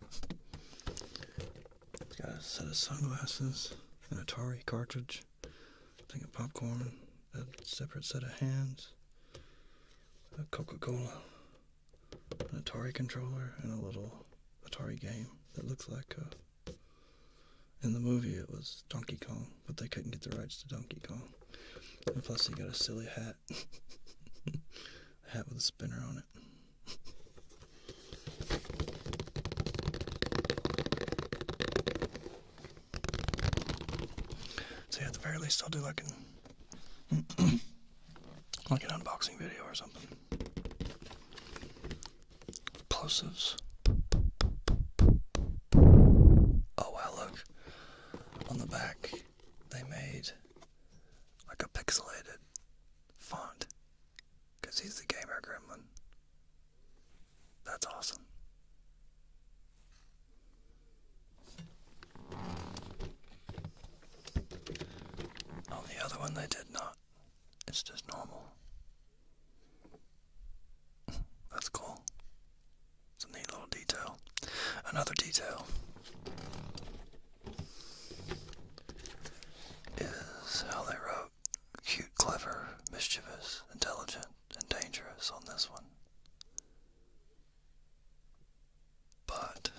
got a set of sunglasses, an Atari cartridge, a thing of popcorn, a separate set of hands, a Coca-Cola, an Atari controller, and a little Atari game that looks like uh, In the movie, it was Donkey Kong but they couldn't get the rights to Donkey Kong. And plus, he got a silly hat. a hat with a spinner on it. So yeah, at the very least, I'll do like an like an unboxing video or something. Plosives. Oh wow, look on the back, they made like a pixelated font because he's the gamer gremlin. That's awesome. On the other one, they did not. It's just normal. That's cool. It's a neat little detail. Another detail is how they wrote cute, clever, mischievous, intelligent, and dangerous on this one. But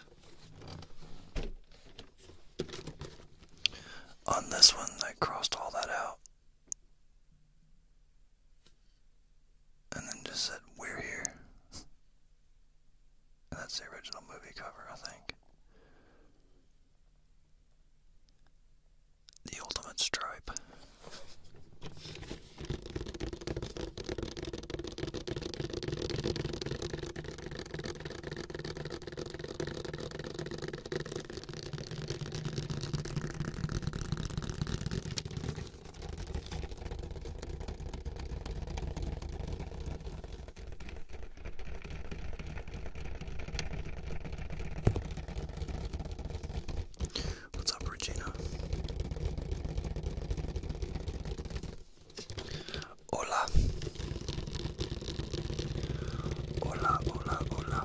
on this one, they crossed all that out and then just said, We're here. that's the original movie cover, I think. The Ultimate Stripe. What's up, Regina? Hola. Hola, hola, hola.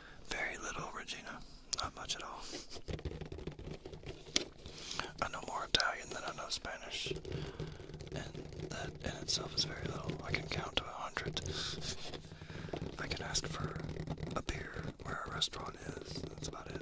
Very little, Regina. Not much at all. I know more Italian than I know Spanish, and that in itself is very little. I can count to a hundred. I can ask for a beer where a restaurant is. That's about it.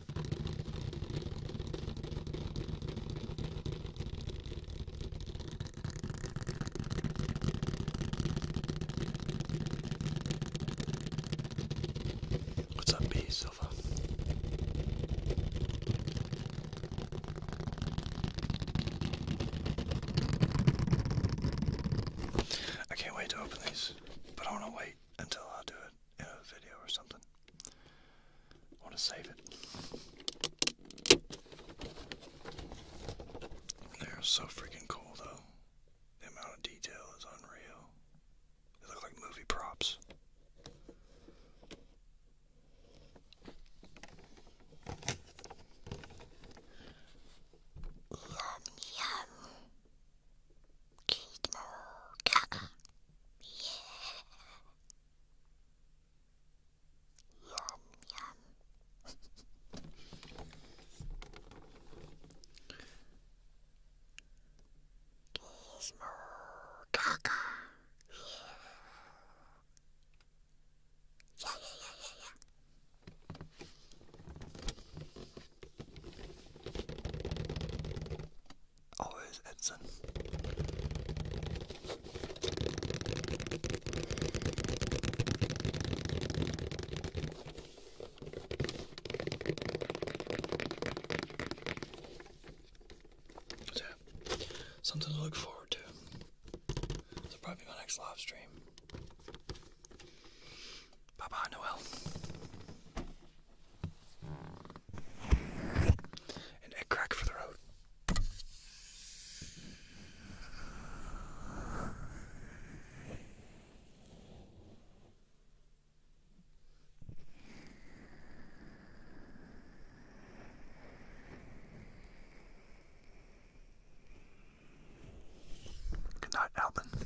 What's up, B Silva? I can't wait to open these, but I want to wait until I do it uh, video or something. I want to save it. They're so freaking cool, though. The amount of detail is unreal. They look like movie props. Yum, yum. Kidmoka. Yeah. Yum yum. Kidmoka. Yeah. Yeah, yeah, yeah, yeah, yeah. Always Edson. So, something to look forward to. This probably my next live stream. Bye bye, Noel. An egg crack for the road. Good night, Alvin.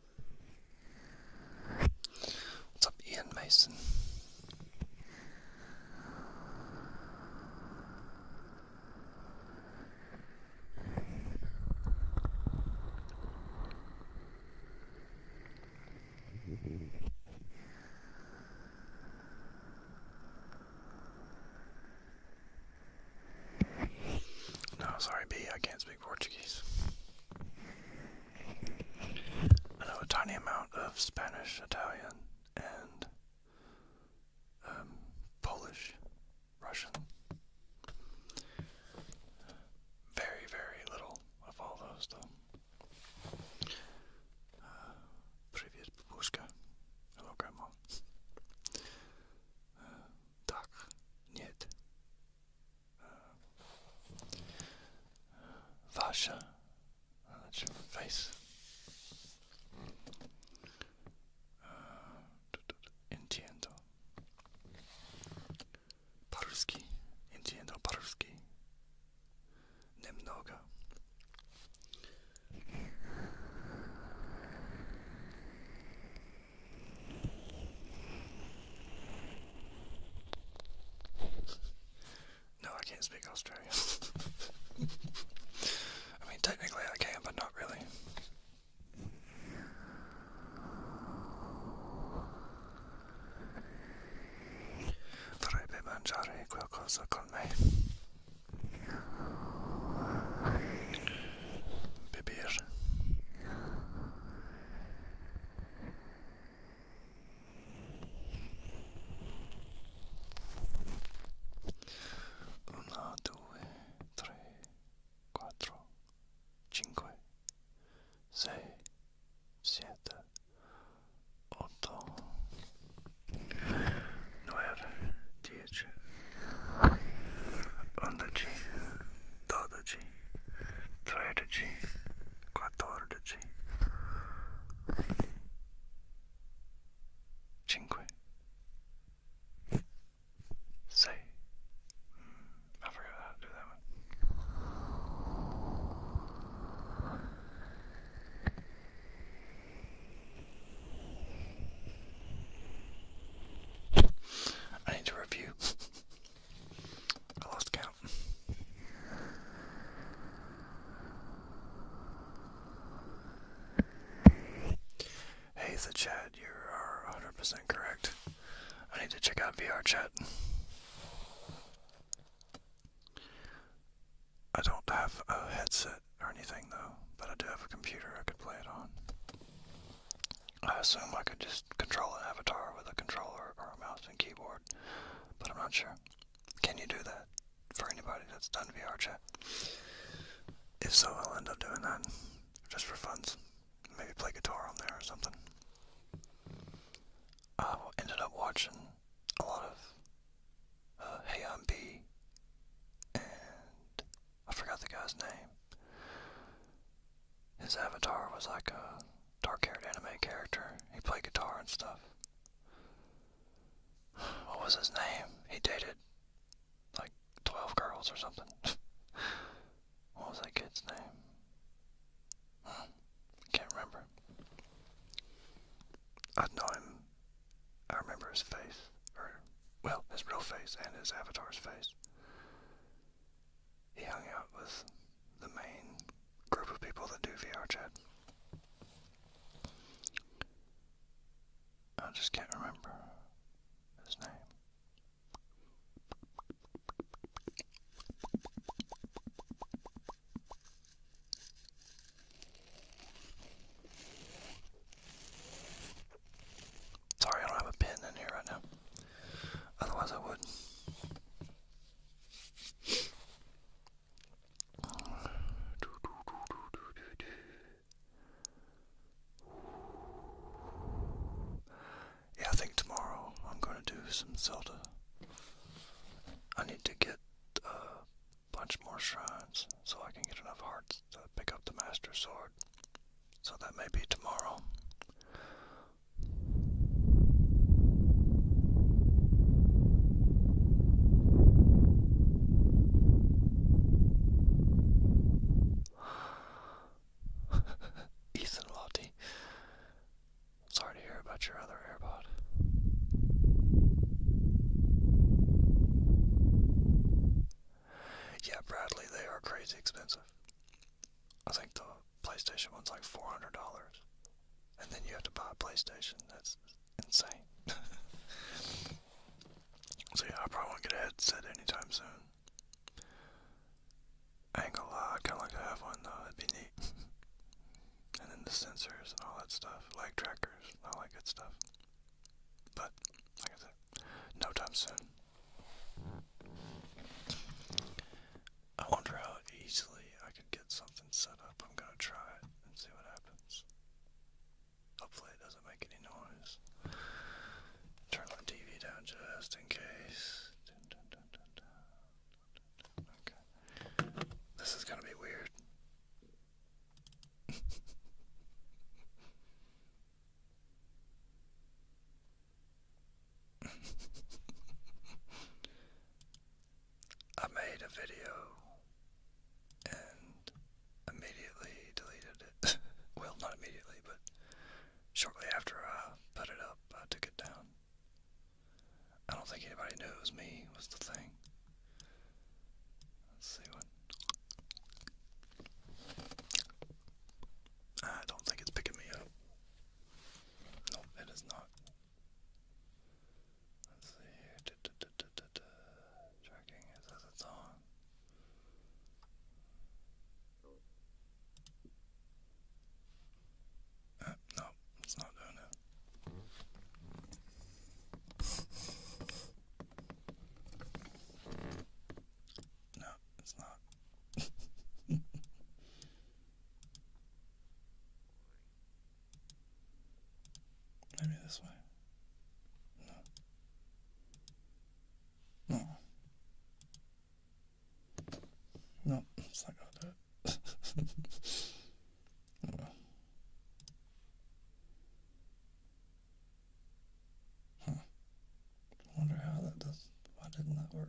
What's up, Ian Mason? No, sorry, B, I can't speak Portuguese. I know a tiny amount of Spanish, Italian, and um, Polish, Russian. Very, very little of all those, though. Uh, Привет, babushka. Hello, Grandma. Uh, нет. Vasha, that's your face. Uh, entiendo. Paruski, entiendo paruski. Немного no, I can't speak Australian. I mean, technically I can, but not really. Vorrebbe mangiare qualcosa con me. Bibir. Una, due, tre, quattro, cinque, sei, siete, otto, nove, dieci, undici, dodici strategy, quattordici, I forgot how to do that one. I need to review. I lost count. Hey, the chat, you are 100% correct. I need to check out VR chat. I don't have a headset or anything though, but I do have a computer I could play it on. I assume I could just control an avatar with a controller or a mouse and keyboard, but I'm not sure. Can you do that for anybody that's done VR chat? If so, I'll end up doing that just for funs. Maybe play guitar on there or something. I ended up watching a lot of uh, Hey I'm B and I forgot the guy's name. His avatar was like a dark haired anime character. He played guitar and stuff. What was his name? He dated like 12 girls or something. what was that kid's name? Hmm. Can't remember. I know him. I remember his face. Or, well, his real face and his avatar's face he hung out with the main group of people that do VR chat. I just can't remember his name. Sorry, I don't have a pen in here right now. Otherwise, I would. Yeah, I think tomorrow I'm going to do some Zelda. I need to get a bunch more shrines so I can get enough hearts to pick up the Master Sword. So that may be tomorrow. Ethan Lofty. Sorry to hear about your other AirPod. Yeah, Bradley, they are crazy expensive. I think the PlayStation one's like four hundred dollars, and then you have to buy a PlayStation. That's insane. so yeah, I probably won't get a headset anytime soon. ain't gonna lie, I kinda like to have one though, it'd be neat. and then the sensors and all that stuff, leg trackers, all that good stuff. But, like I said, no time soon. I wonder how easily I could get something set up. I'm gonna try and see what happens. Hopefully, it doesn't make any noise. Turn the TV down just in case. Okay. This is gonna be weird. I made a video and immediately deleted it. well, not immediately, but shortly after I put it up, I took it down. I don't think anybody knows me, was the thing. Let's see what. I don't think it's picking me up. Nope, it is not. Let's see Tracking it says it's on. Uh, no, it's not doing it. No, it's not. Maybe this way. No. No. No, it's not going Huh. wonder how that does. Why didn't that work?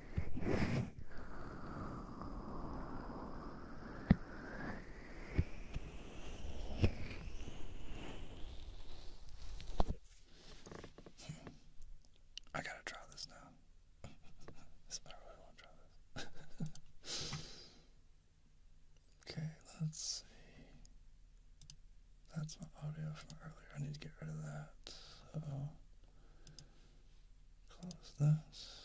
I gotta try this now. I want to try this. okay, let's see. That's my audio from earlier. I need to get rid of that. Uh Close this.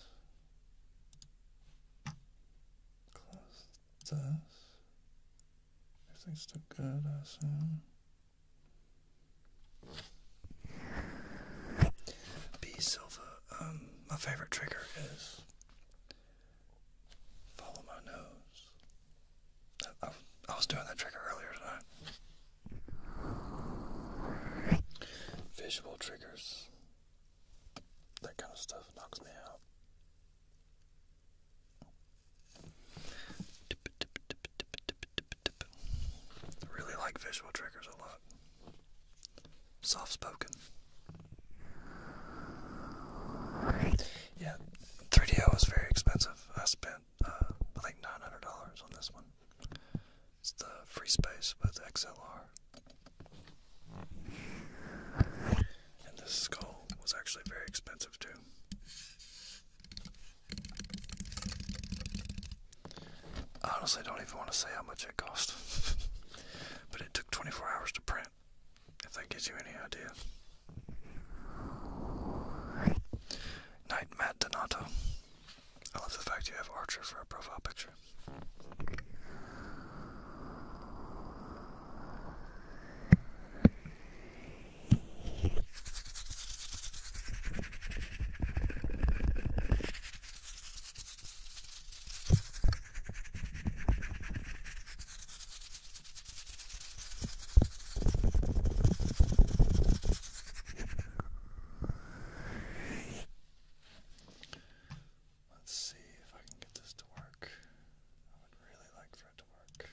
Close this. Everything's still good, I assume. B Silva. Um, my favorite trigger is follow my nose. I, I, I was doing that trigger earlier tonight. Visual triggers, that kind of stuff knocks me out. I really like visual triggers a lot. Soft spoken. Yeah, 3DO was very expensive. I spent, uh, I think, $900 on this one. It's the free space with XLR. And this skull was actually very expensive too. I honestly don't even want to say how much it cost. but it took 24 hours to print, if that gives you any idea. Night Matt Donato. I love the fact you have Archer for a profile picture. Let's see if I can get this to work. I would really like for it to work.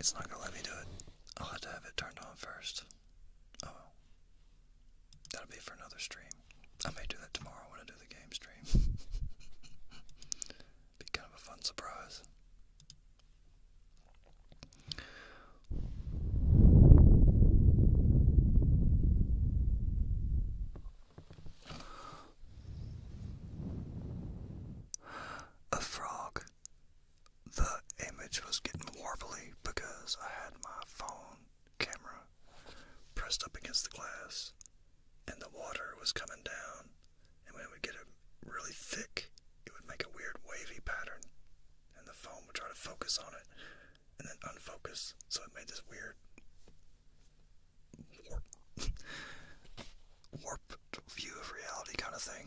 It's not gonna let me do it. I'll have to have it turned on first. Oh That'll be for another stream. I may do that tomorrow when I do the game stream. Be kind of a fun surprise. A frog. The image was getting warbly because I had my phone camera pressed up against the glass, and the water was coming down. And when it would get really thick, it would make a weird wavy pattern, and the phone would try to focus on it and then unfocus, so it made this weird warp, warped view of reality kind of thing.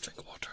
Drink water.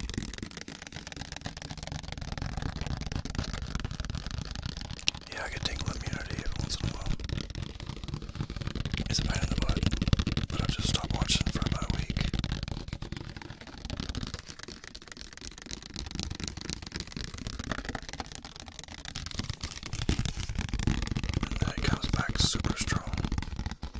Yeah, I get tingling immunity every once in a while. It's a pain in the butt, but i just stopped watching for about a week. And then it comes back super strong.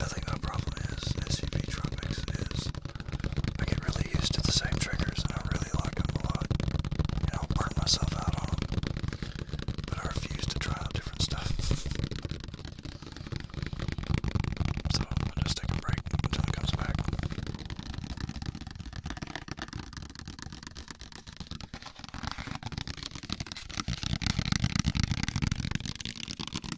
I think my problem is SCP Tropics is I get really used to the same triggers and I really like them a lot. And I'll burn myself out on them. But I refuse to try out different stuff. So I'll just take a break until it comes back.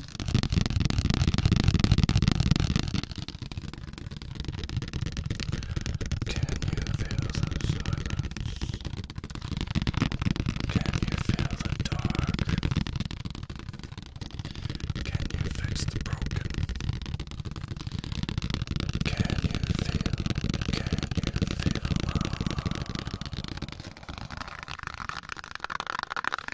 Can you feel the silence? Can you feel the dark? Can you fix the broken? Can you feel? Can you feel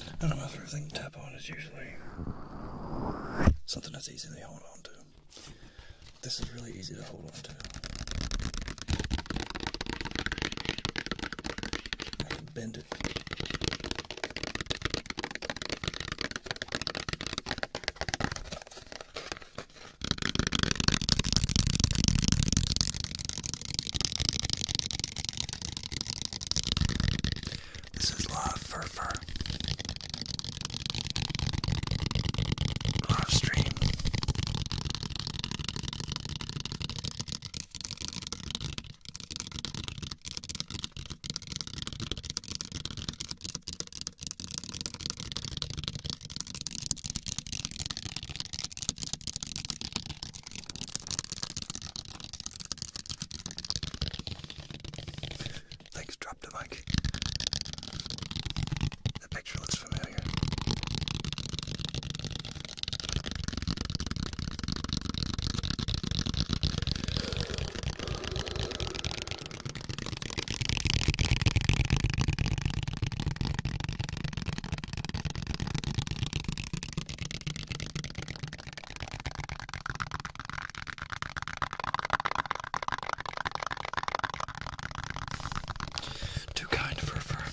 I don't know if everything tap on is usually something that's easily hold on to. This is really easy to hold on to. I can bend it. This is live fur fur. Live stream. Thanks, drop the mic. The picture looks familiar. Too kind for fur.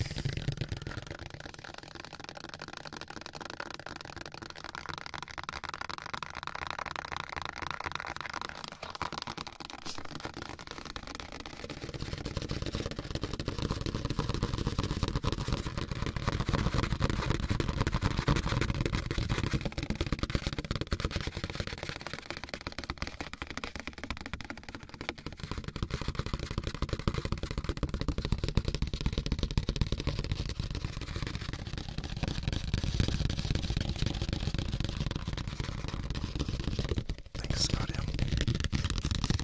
Thanks, Nadia.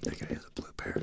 That guy is a blue bear.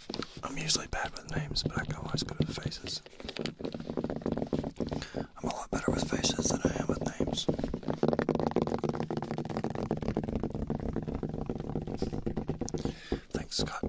I'm usually bad with names, but I can always good with faces. I'm a lot better with faces than I am with names. Thanks, Scott.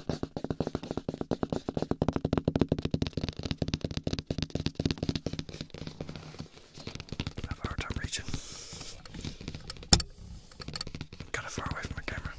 I have a hard time reaching. I'm kind of far away from my camera.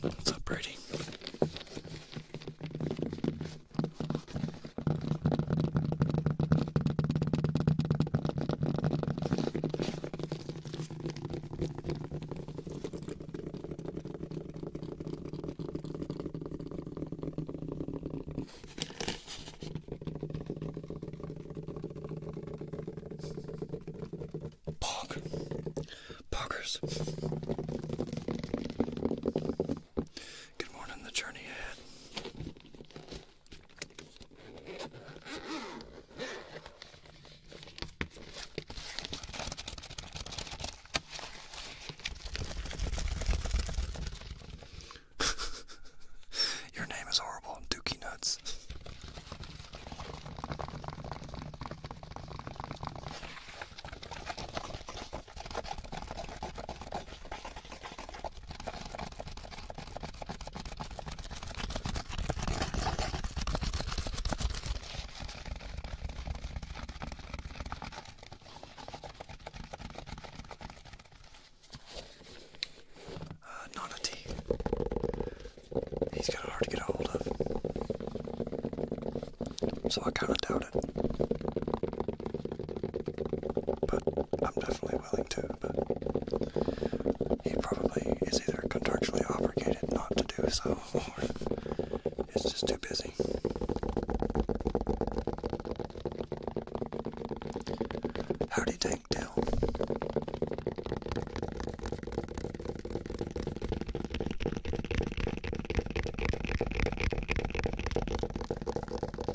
What's up, Brady? Pog. Poggers. Good morning, the journey ahead. Your name is horrible, Dookie Nuts. Uh, not a T. He's kind of hard to get a hold of. So I kind of doubt it. But I'm definitely willing to, but he probably is either contractually obligated not to do so or is just too busy. Howdy Dank Dill.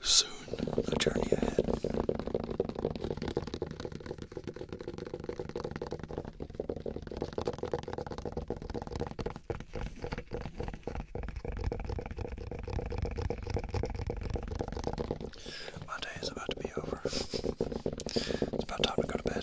Soon, the journey ahead. My day is about to be over. It's about time to go to bed.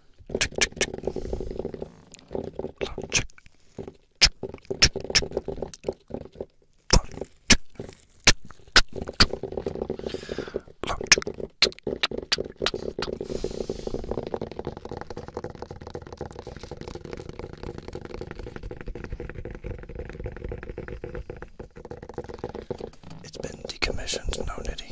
It's been decommissioned, no nitty.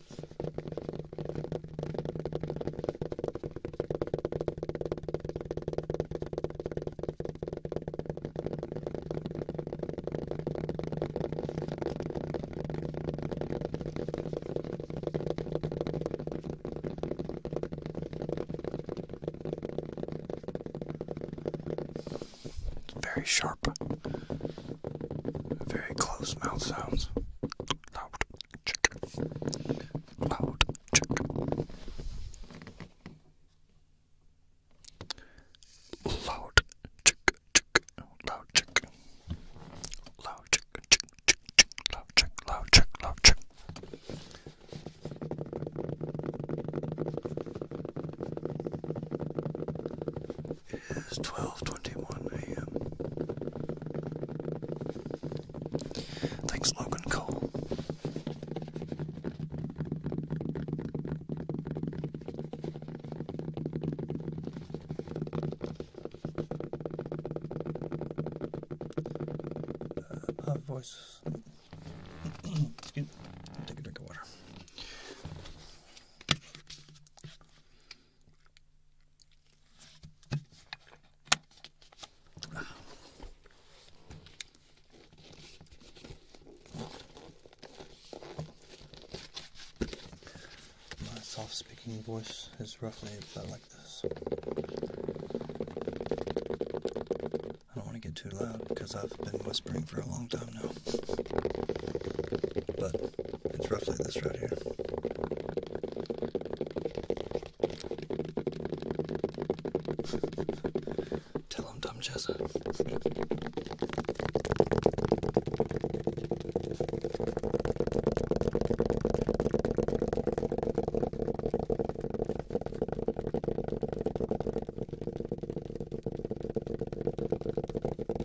Very sharp very close mouth sounds. Loud check. Loud check. Loud check check. Loud check. Loud check check check check. Loud check. Loud check. Loud check. It's 12:21 a.m. Thanks, Logan Cole. Uh, Excuse me. take a drink of water. My soft speaking voice is roughly about like this. I don't want to get too loud because I've been whispering for a long time now through. But it's roughly this right here. Tell him, dumb Jessa.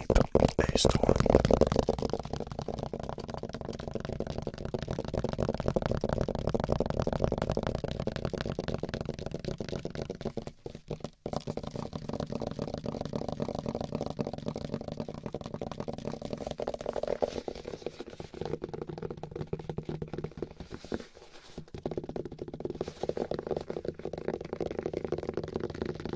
sleep based on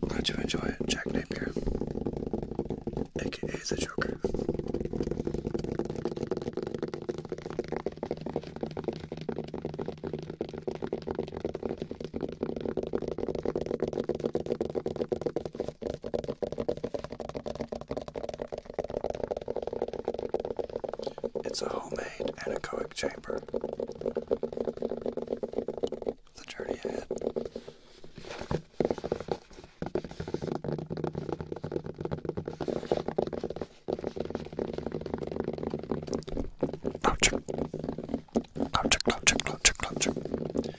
Glad you enjoy it, Jack Napier, aka the Joker. It's a homemade anechoic chamber. The journey ahead. Ouch. Ouch, ouch, ouch, ouch, ouch.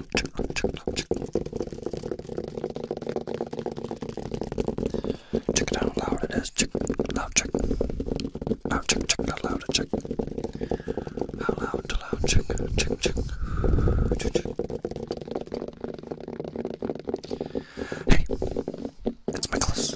Check it out loud it is. Check loud check. Loud check check out loud check. How loud to loud check check check. Check check. Hey, it's Nicholas.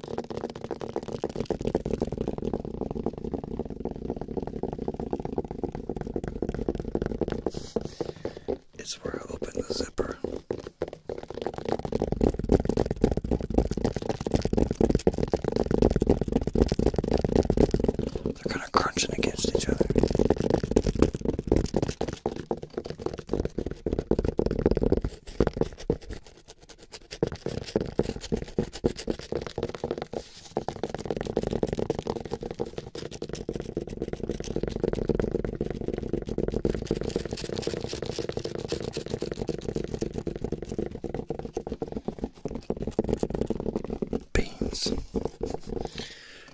It's where I open the zipper. They're kind of crunching against each other. Beans.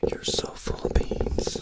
You're so full of beans.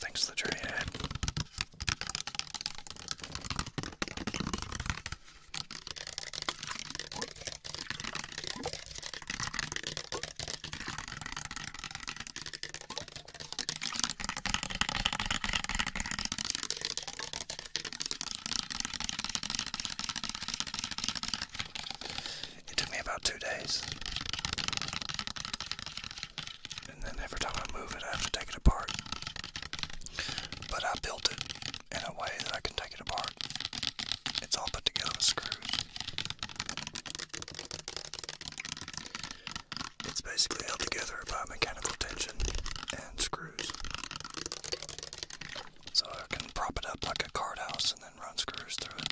Thanks for the journey ahead. It took me about two days. And then every time I move it, I have to take it apart. But I built it in a way that I can take it apart. It's all put together with screws. It's basically held together by mechanical tension and screws screws. So I can prop it up like a card house and then run screws through it.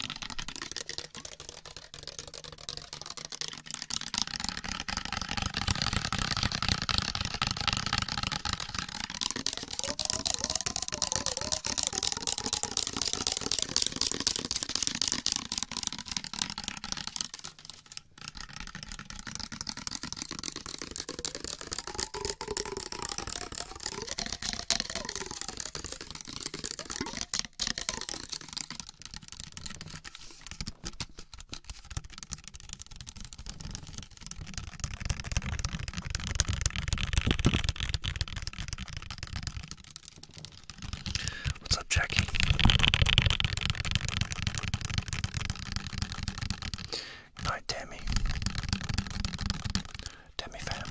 What's up, Jackie? Good night, Tammy. Tammy fam.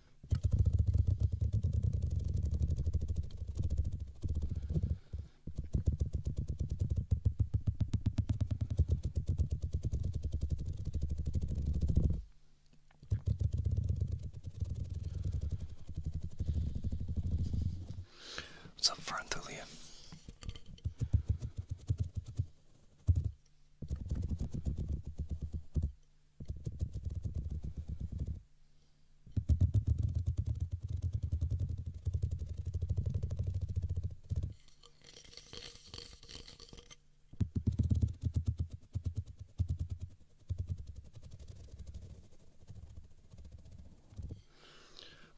What's up, friend, Farnthulia?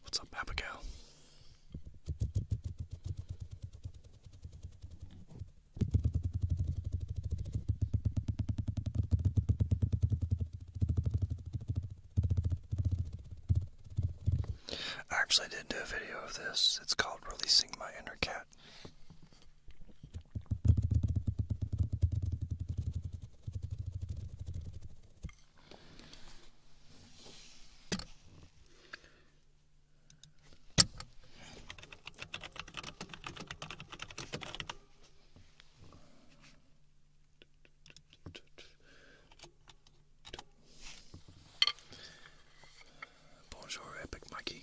What's up, Abigail? I actually did do a video of this. It's called Releasing My Inner Cat. Bonjour, Epic Mikey.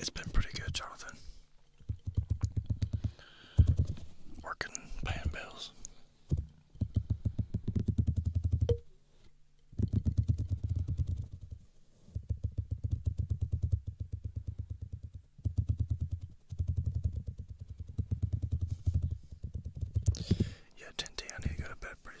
It's been pretty good, Jonathan. Working, paying bills. Yeah, Tinty, I need to go to bed pretty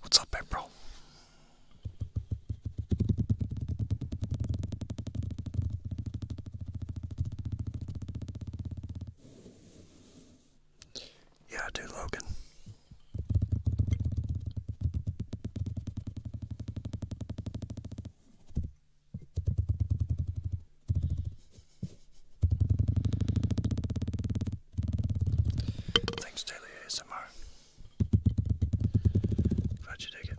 What's up, April? Yeah, I Logan. Thanks, Daily ASMR. Glad you dig it.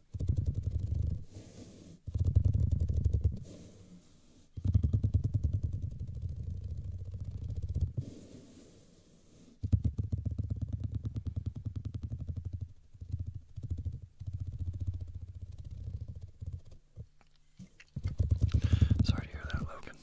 Sorry to hear that, Logan.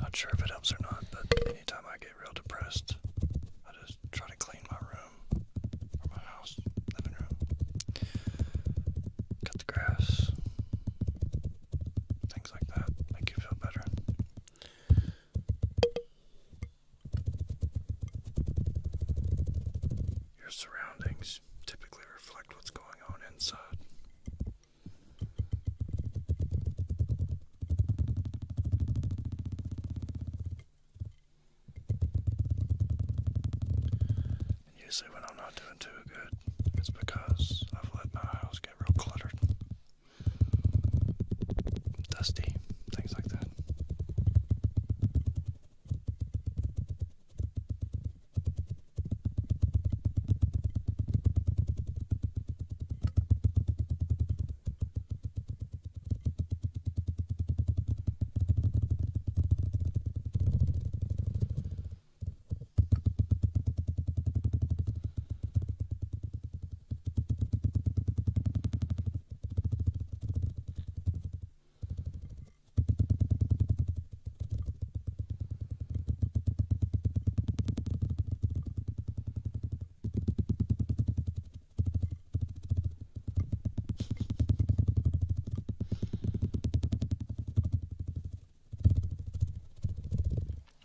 Not sure if it helps or not, but anytime I get real depressed, I just try to clean my room or my house, living room, cut the grass, things like that, make you feel better. Your surroundings typically reflect what's going on inside. And usually, when I'm not doing too good, it's because I've let my house get real cluttered, dusty things like that.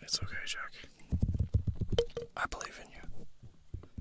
It's okay, Jack. I believe in you.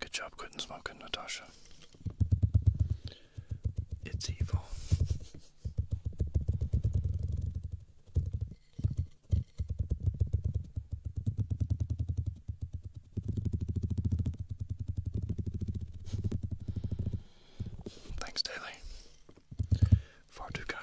Good job quitting smoking, Natasha. It's evil. Thanks, Daily. Far too kind.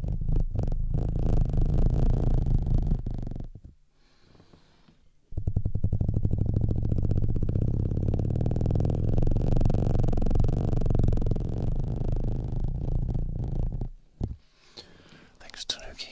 Thanks, Tanuki.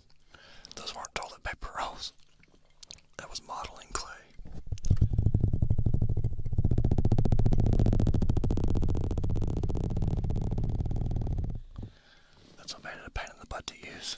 Those weren't toilet paper rolls. That was modeling clay. That's what made it a pain in the butt to use.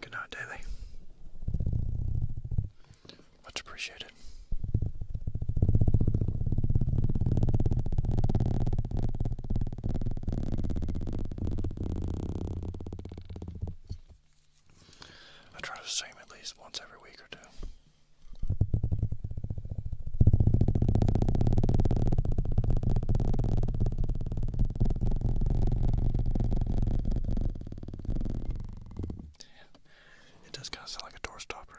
Good night, Daily. Much appreciated. I try to stream at least once every week or two. It does kind of sound like a door stopper.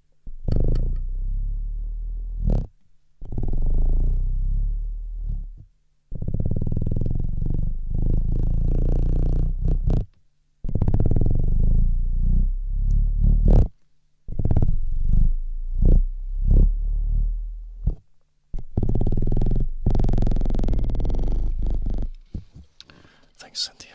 Thanks, Cynthia.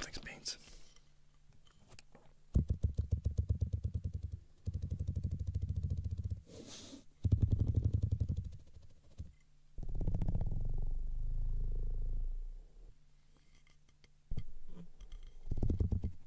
Thanks, Beans.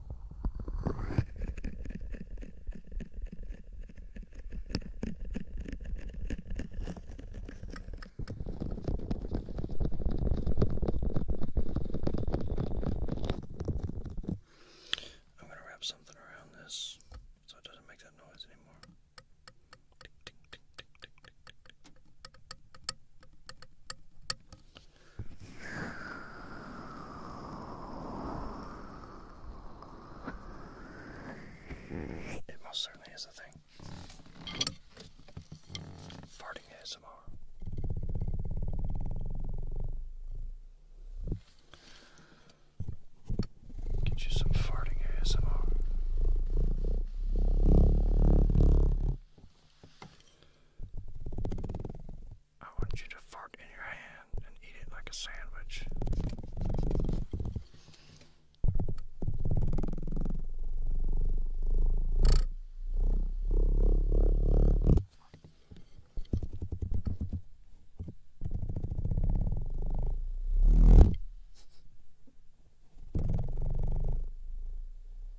I'm going to wrap something around this so it doesn't make that noise anymore. Tick, tick, tick, tick, tick, tick, tick. Mm, it most certainly is a thing. Farting ASMR. Get you some farting ASMR. I want you to fart in your hand and eat it like a sandwich.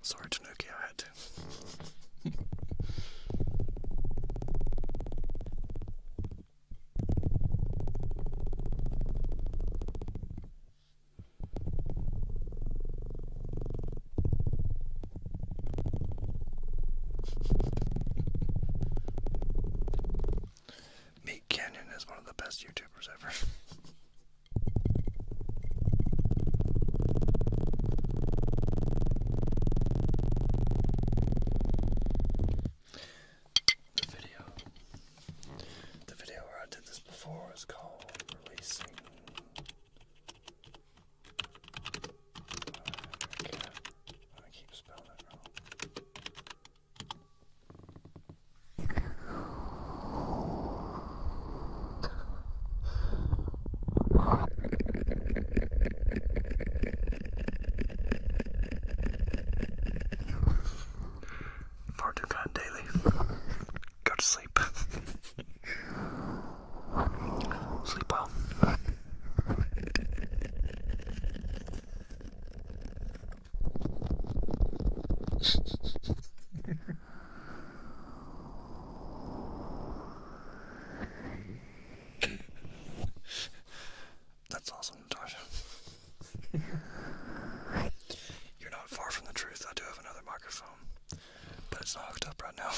Sorry to Nokia, I had to. Meet Canyon is one of the best YouTubers ever. The video, the video where I did this before is called releasing. I keep spelling it wrong. Far too kind daily. Go to sleep. sleep well. That's awesome, Natasha. You're not far from the truth. I do have another microphone, but it's not hooked up right now.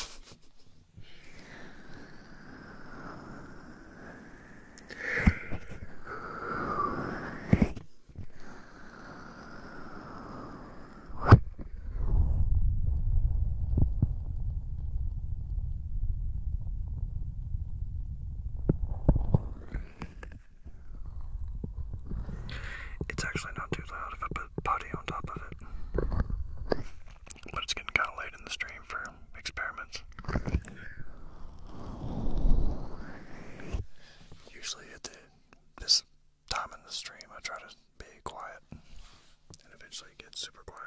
It's actually not too loud if I put potty on top of it. But it's getting kind of late in the stream for experiments. Usually at this time in the stream, I try to be quiet, and eventually get super quiet.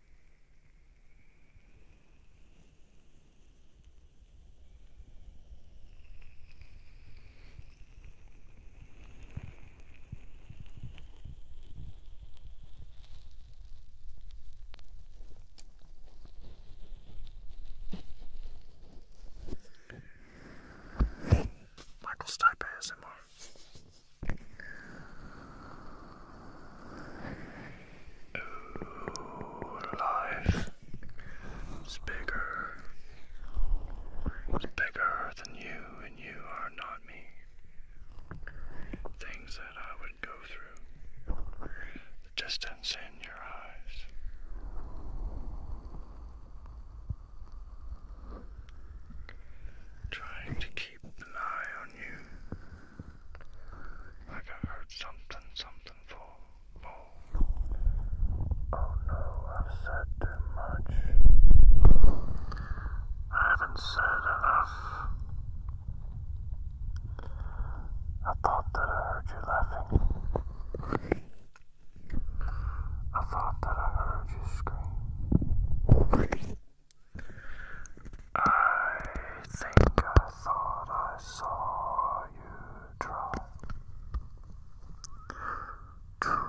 Michael's type ASMR life is bigger. It's bigger than you, and you are not me. Things that I would go through, the distance in your eyes. Trying to keep an eye on you. Like I heard something, something fall, fall. Oh no, I've said too much. I haven't said enough. I thought that I heard you laughing. I thought that I heard you scream. I think I thought I saw you try to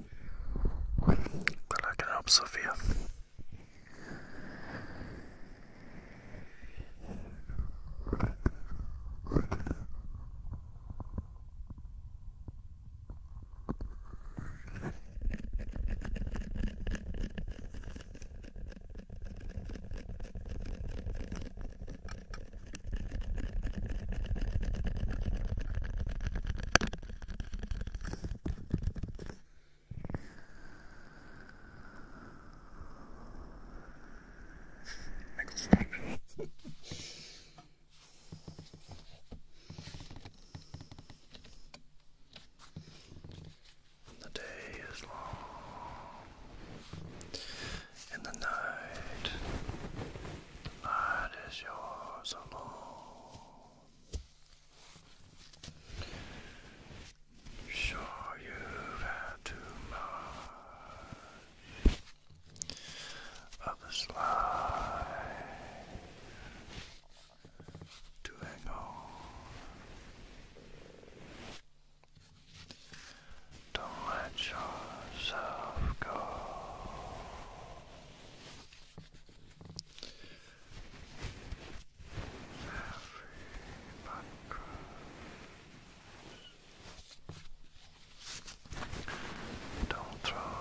that I can help Sophia the day is long, and the night, the night is yours alone. Sure, you've had too much of this life to hang Don't let yourself go. Everybody cries. Don't throw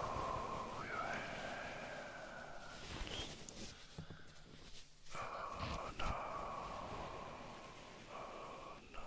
your hands. Oh no. Oh no.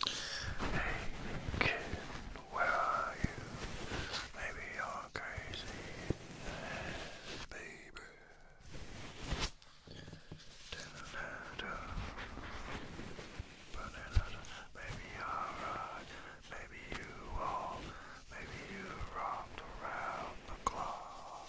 Hey kid, where are you? Maybe you're crazy, baby. Maybe you're right, maybe you are, maybe you rocked around the clock.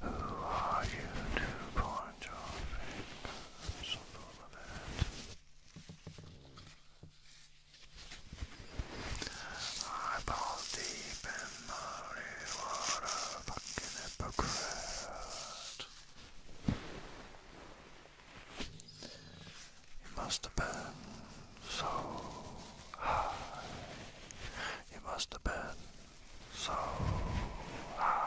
Who are you to point your fingers full of it? deep in muddy water, fucking hypocrite. It must have been so high. It must have been so high.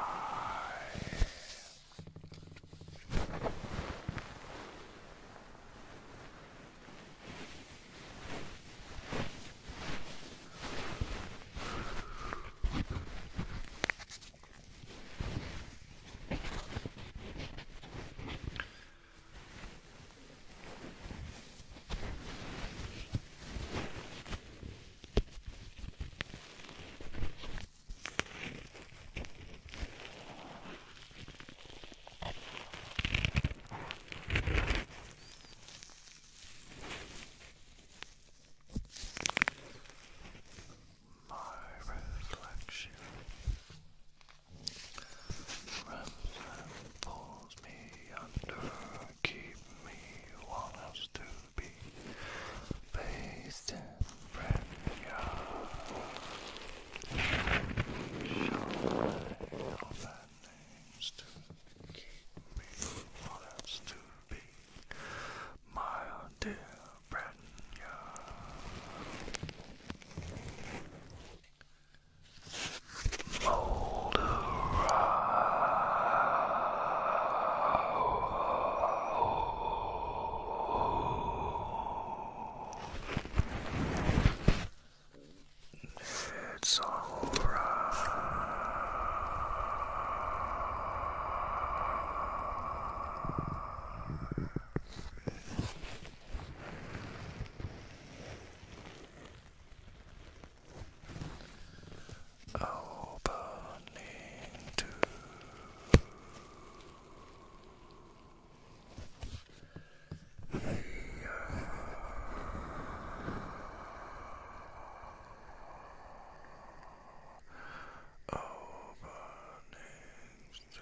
My reflection Ramsay pulls me under, keep me one to be based in Brenya. Show bad names to keep me one to be my dear Brenya. It's all right. Opening to yeah. Opening to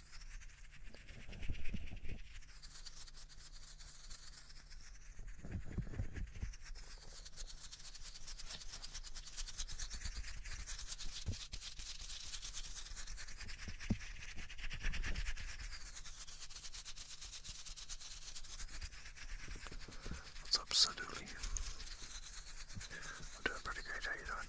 That's absolutely. I'm doing pretty great. How you doing?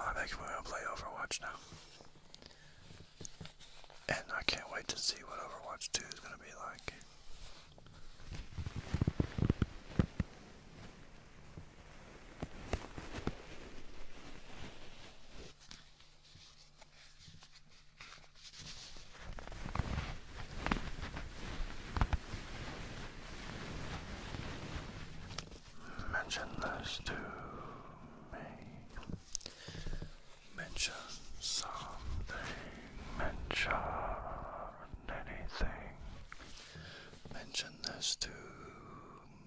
I am we gonna play Overwatch now. And I can't wait to see what Overwatch 2 is gonna be like. Mention this to me. Mention something. Mention anything. Mention this to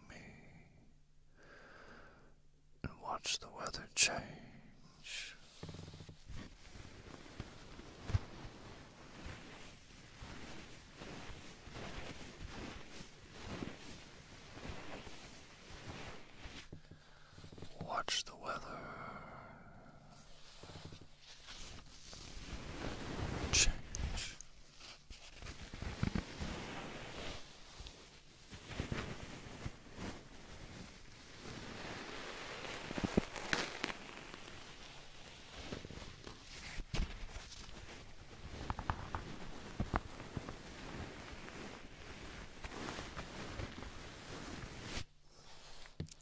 me. And watch the weather change. Watch the weather. Change.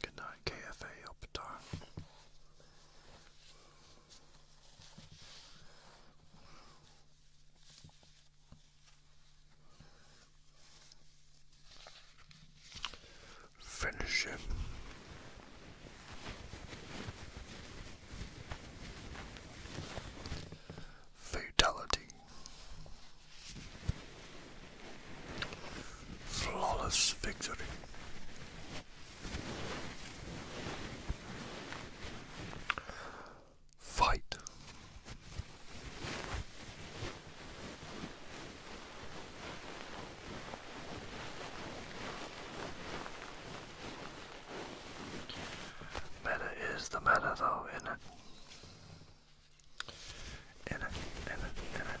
Good night, KFA Optar. Finish it. Fatality. Flawless victory. Fight. Meta is the meta though, is it? In it, in it, in it.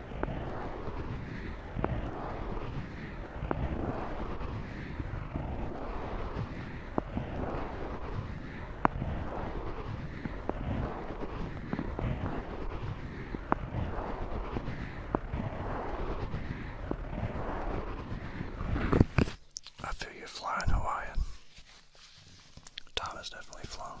I feel you're flying Hawaiian. Tom has definitely flown.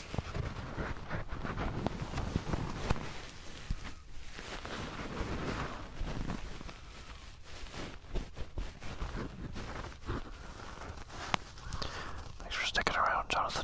Thanks for sticking around, Jonathan.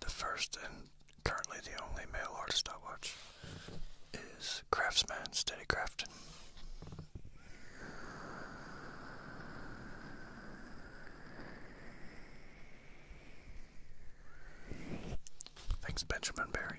The first and currently the only male artist I watch is Craftsman Steady Crafton. Thanks, Benjamin Barry.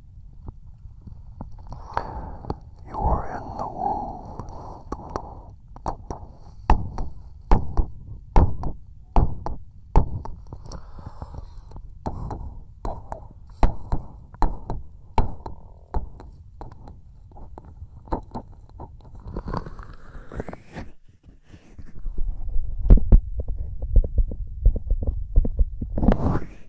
You are in the womb.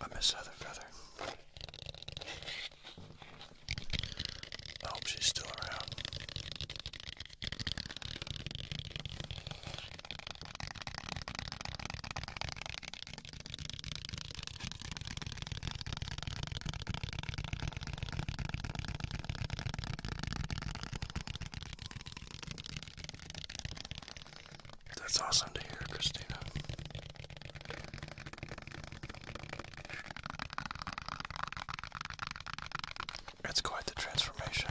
I miss Heather Feather. I hope she's still around. That's awesome to hear, Christina. It's quite the transformation.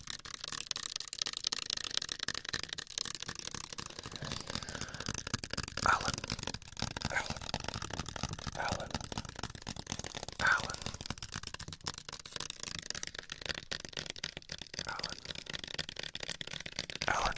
Alan, Alan, Alan, Alan, Alan, Alan, Alan.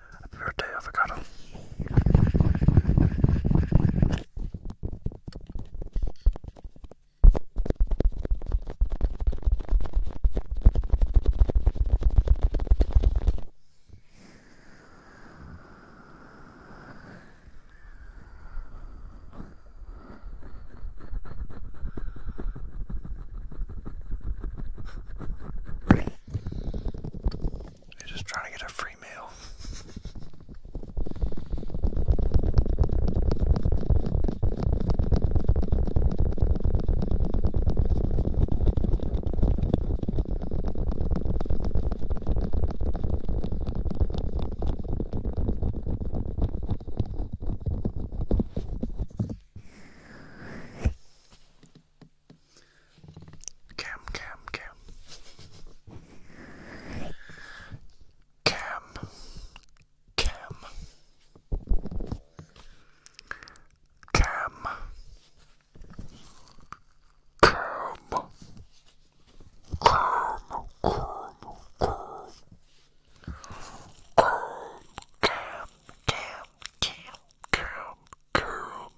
Happy birthday, avocado. They're just trying to get a free meal. Cam, cam, cam. Cam, cam. Cam. Cam. Cam, cam, cam. Cam, cam, cam, cam, cam,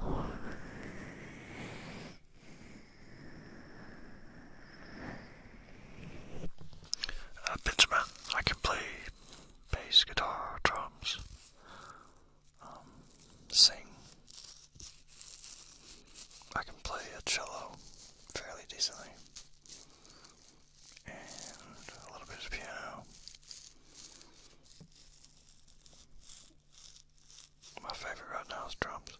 I'm a Benjamin. I can play bass, guitar, drums, um, sing. I can play a cello fairly decently, and a little bit of piano. My favorite right now is drums.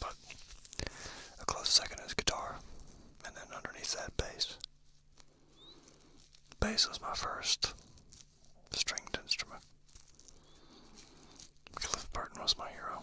But a close second is guitar, and then underneath that, bass. Bass was my first stringed instrument. Cliff Burton was my hero.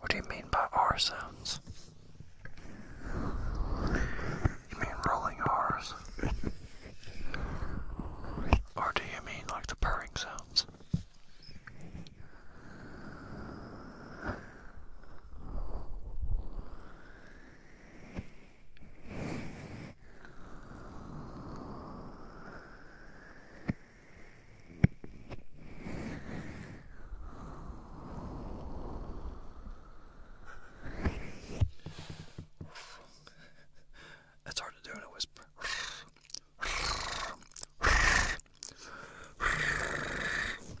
What do you mean by R sounds? You mean rolling R's? or do you mean like the purring sounds? It's hard to do in a whisper.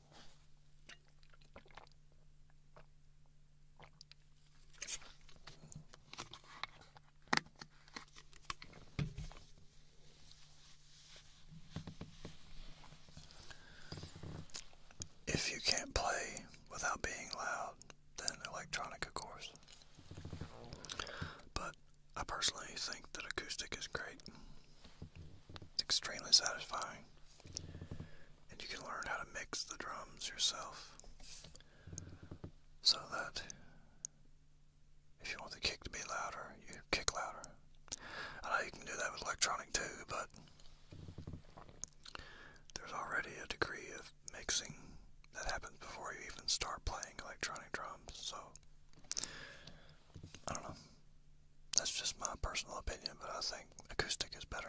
If you can't play without being loud, then electronic, of course. But I personally think that acoustic is great. It's extremely satisfying. And you can learn how to mix the drums yourself. So that if you want the kick to be louder, you kick louder. I know you can do that with electronic too, but there's already a degree of mixing that happens before you even start playing electronic drums, so I don't know that's just my personal opinion, but I think acoustic is better.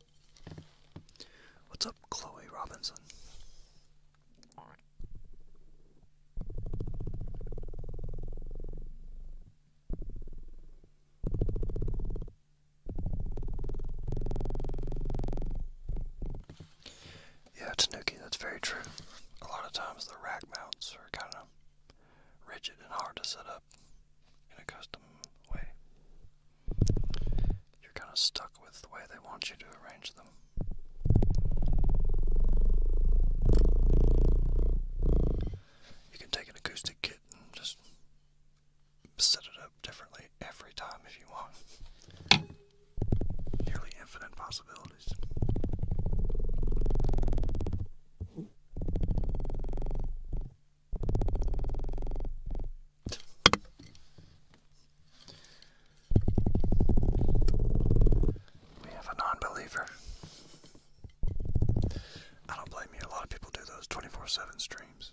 What's up, Chloe Robinson? Yeah, Tanuki, that's very true. A lot of times the rack mounts are kind of rigid and hard to set up in a custom way you're kind of stuck with the way they want you to arrange them. You can take an acoustic kit and just set it up differently every time if you want. Nearly infinite possibilities. We have a non believer. I don't blame you, a lot of people do those 24 7 streams.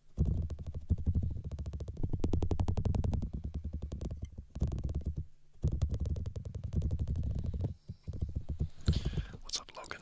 What's up, Logan?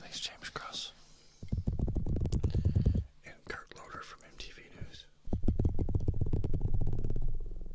Thanks, James Cross and Kurt Loader from MTV News.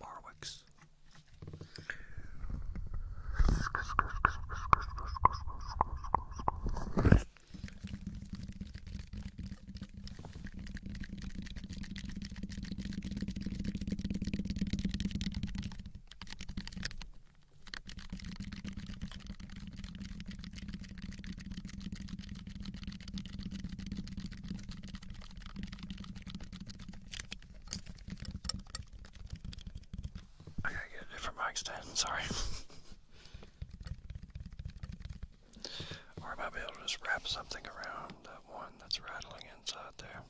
Marwicks. I gotta get a different mic stand, sorry. or I might be able to just wrap something around that one that's rattling inside there.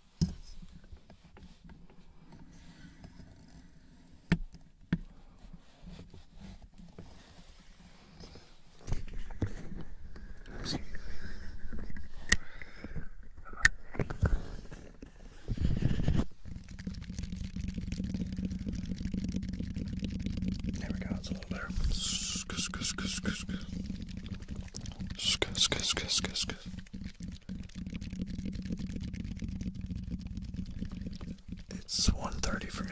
There we go, it's a little better. Sk sk sk sk sk sk sk sk sk sk sk it's 1.30 for me.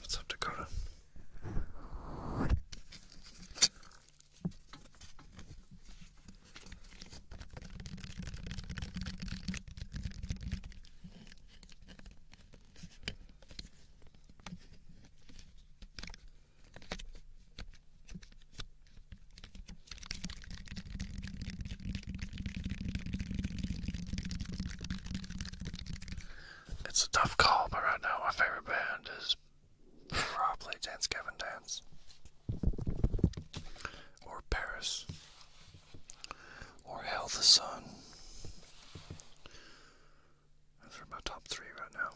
What's up, Dakota? It's a tough call, but right now my favorite band is probably Dance Gavin Dance or Paris or Hell the Sun those are my top three right now.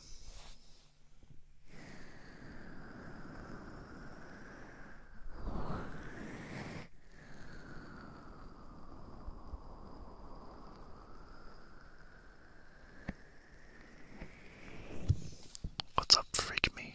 What's up, freak me?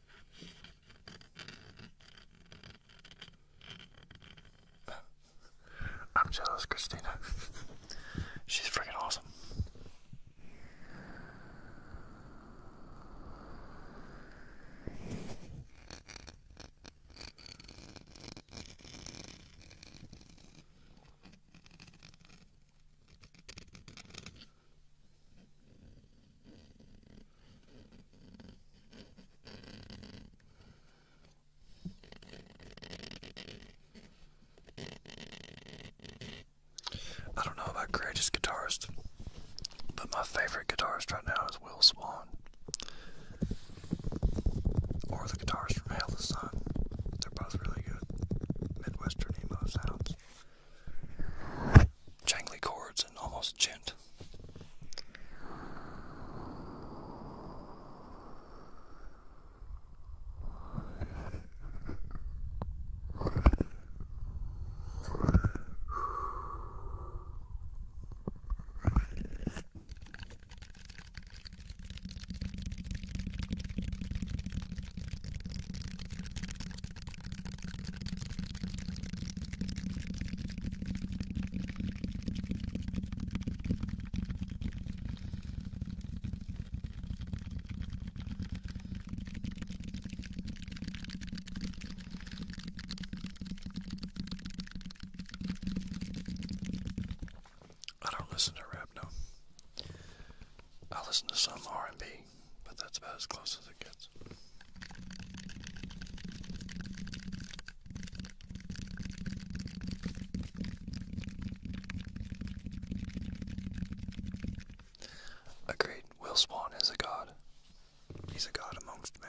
I'm jealous, Christina. She's freaking awesome. I don't know about greatest guitarist, but my favorite guitarist right now is Will Swan. Or the guitarist from Hail the Sun. They're both really good. Midwestern emo sounds jangly chords and almost gent. I don't listen to rap, no. I listen to some R&B but that's about as close as it gets. Agreed, Will Swan is a god. He's a god amongst men.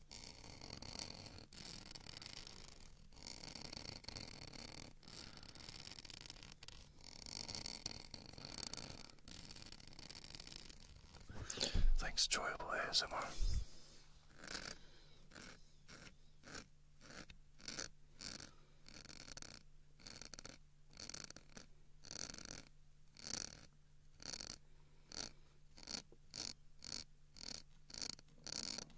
Thanks, enjoyable ASMR.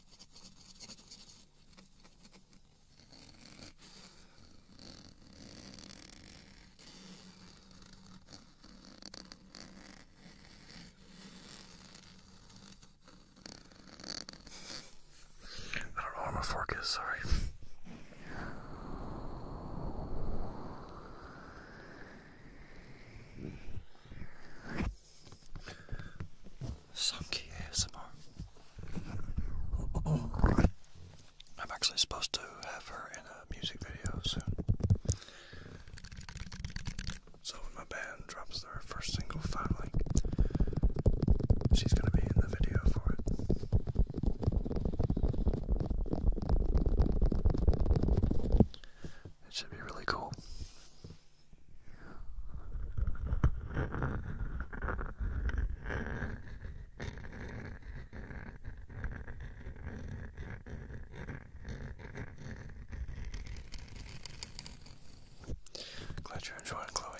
I don't know where my fork is, sorry. Sunky ASMR. I'm actually supposed to have her in a music video soon. So when my band drops their first single finally, she's gonna be in the video for it. It should be really cool. Glad you're enjoying, Chloe.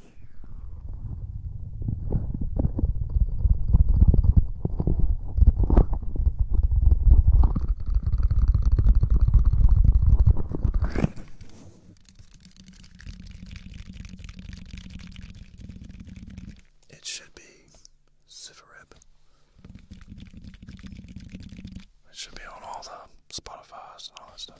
It should be Civarib. It should be on all the Spotify's and all that stuff.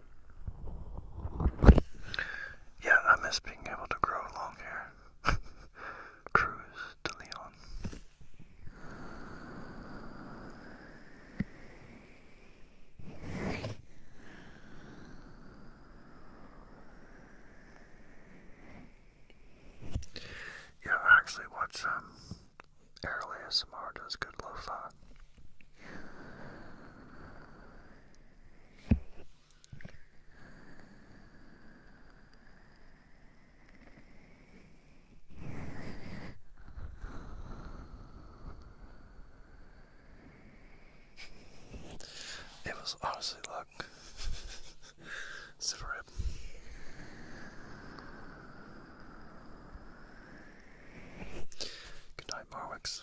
Yeah, I miss being able to grow long hair. Cruise to Leon. Yeah, actually watch um early ASMR does good it was honestly luck. Super rip. Good night, Marwix.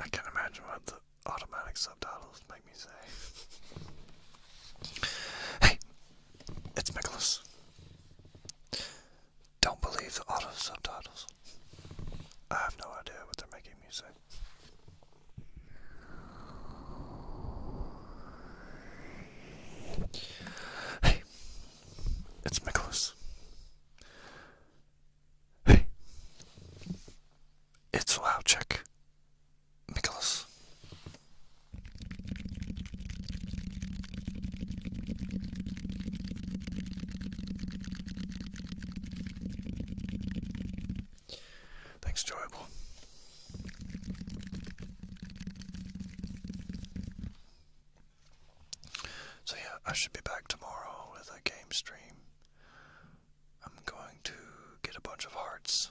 I can't imagine what the automatic subtitles make me say. hey, it's Nicholas. Don't believe the auto subtitles. I have no idea what they're making music. Hey, it's Nicholas. Hey, it's Wow Nicholas. Thanks, enjoyable. So, yeah, I should be back tomorrow with a game stream. I'm going to get a bunch of hearts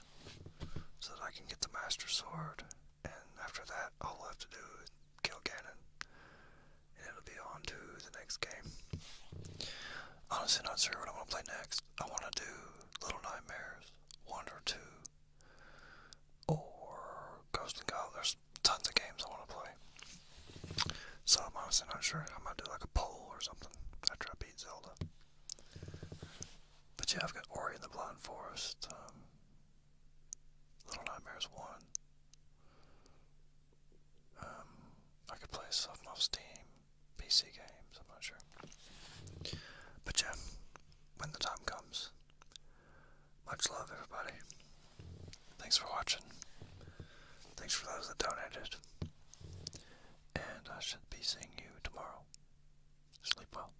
so that I can get the Master Sword, and after that, all i have to do kill Ganon, and it'll be on to the next game. Honestly, not sure what I want to play next. I want to do Little Nightmares one or two, or Ghost and Goblin. There's tons of games I want to play. So I'm honestly not sure. I might do like a poll or something after I beat Zelda. But yeah, I've got Ori in the Blind Forest, um, Little Nightmares 1, um, I could play stuff off Steam, PC games, I'm not sure. But yeah, when the time comes. Much love, everybody. Thanks for watching. Thanks for those that donated. And I should be seeing you tomorrow. Sleep well.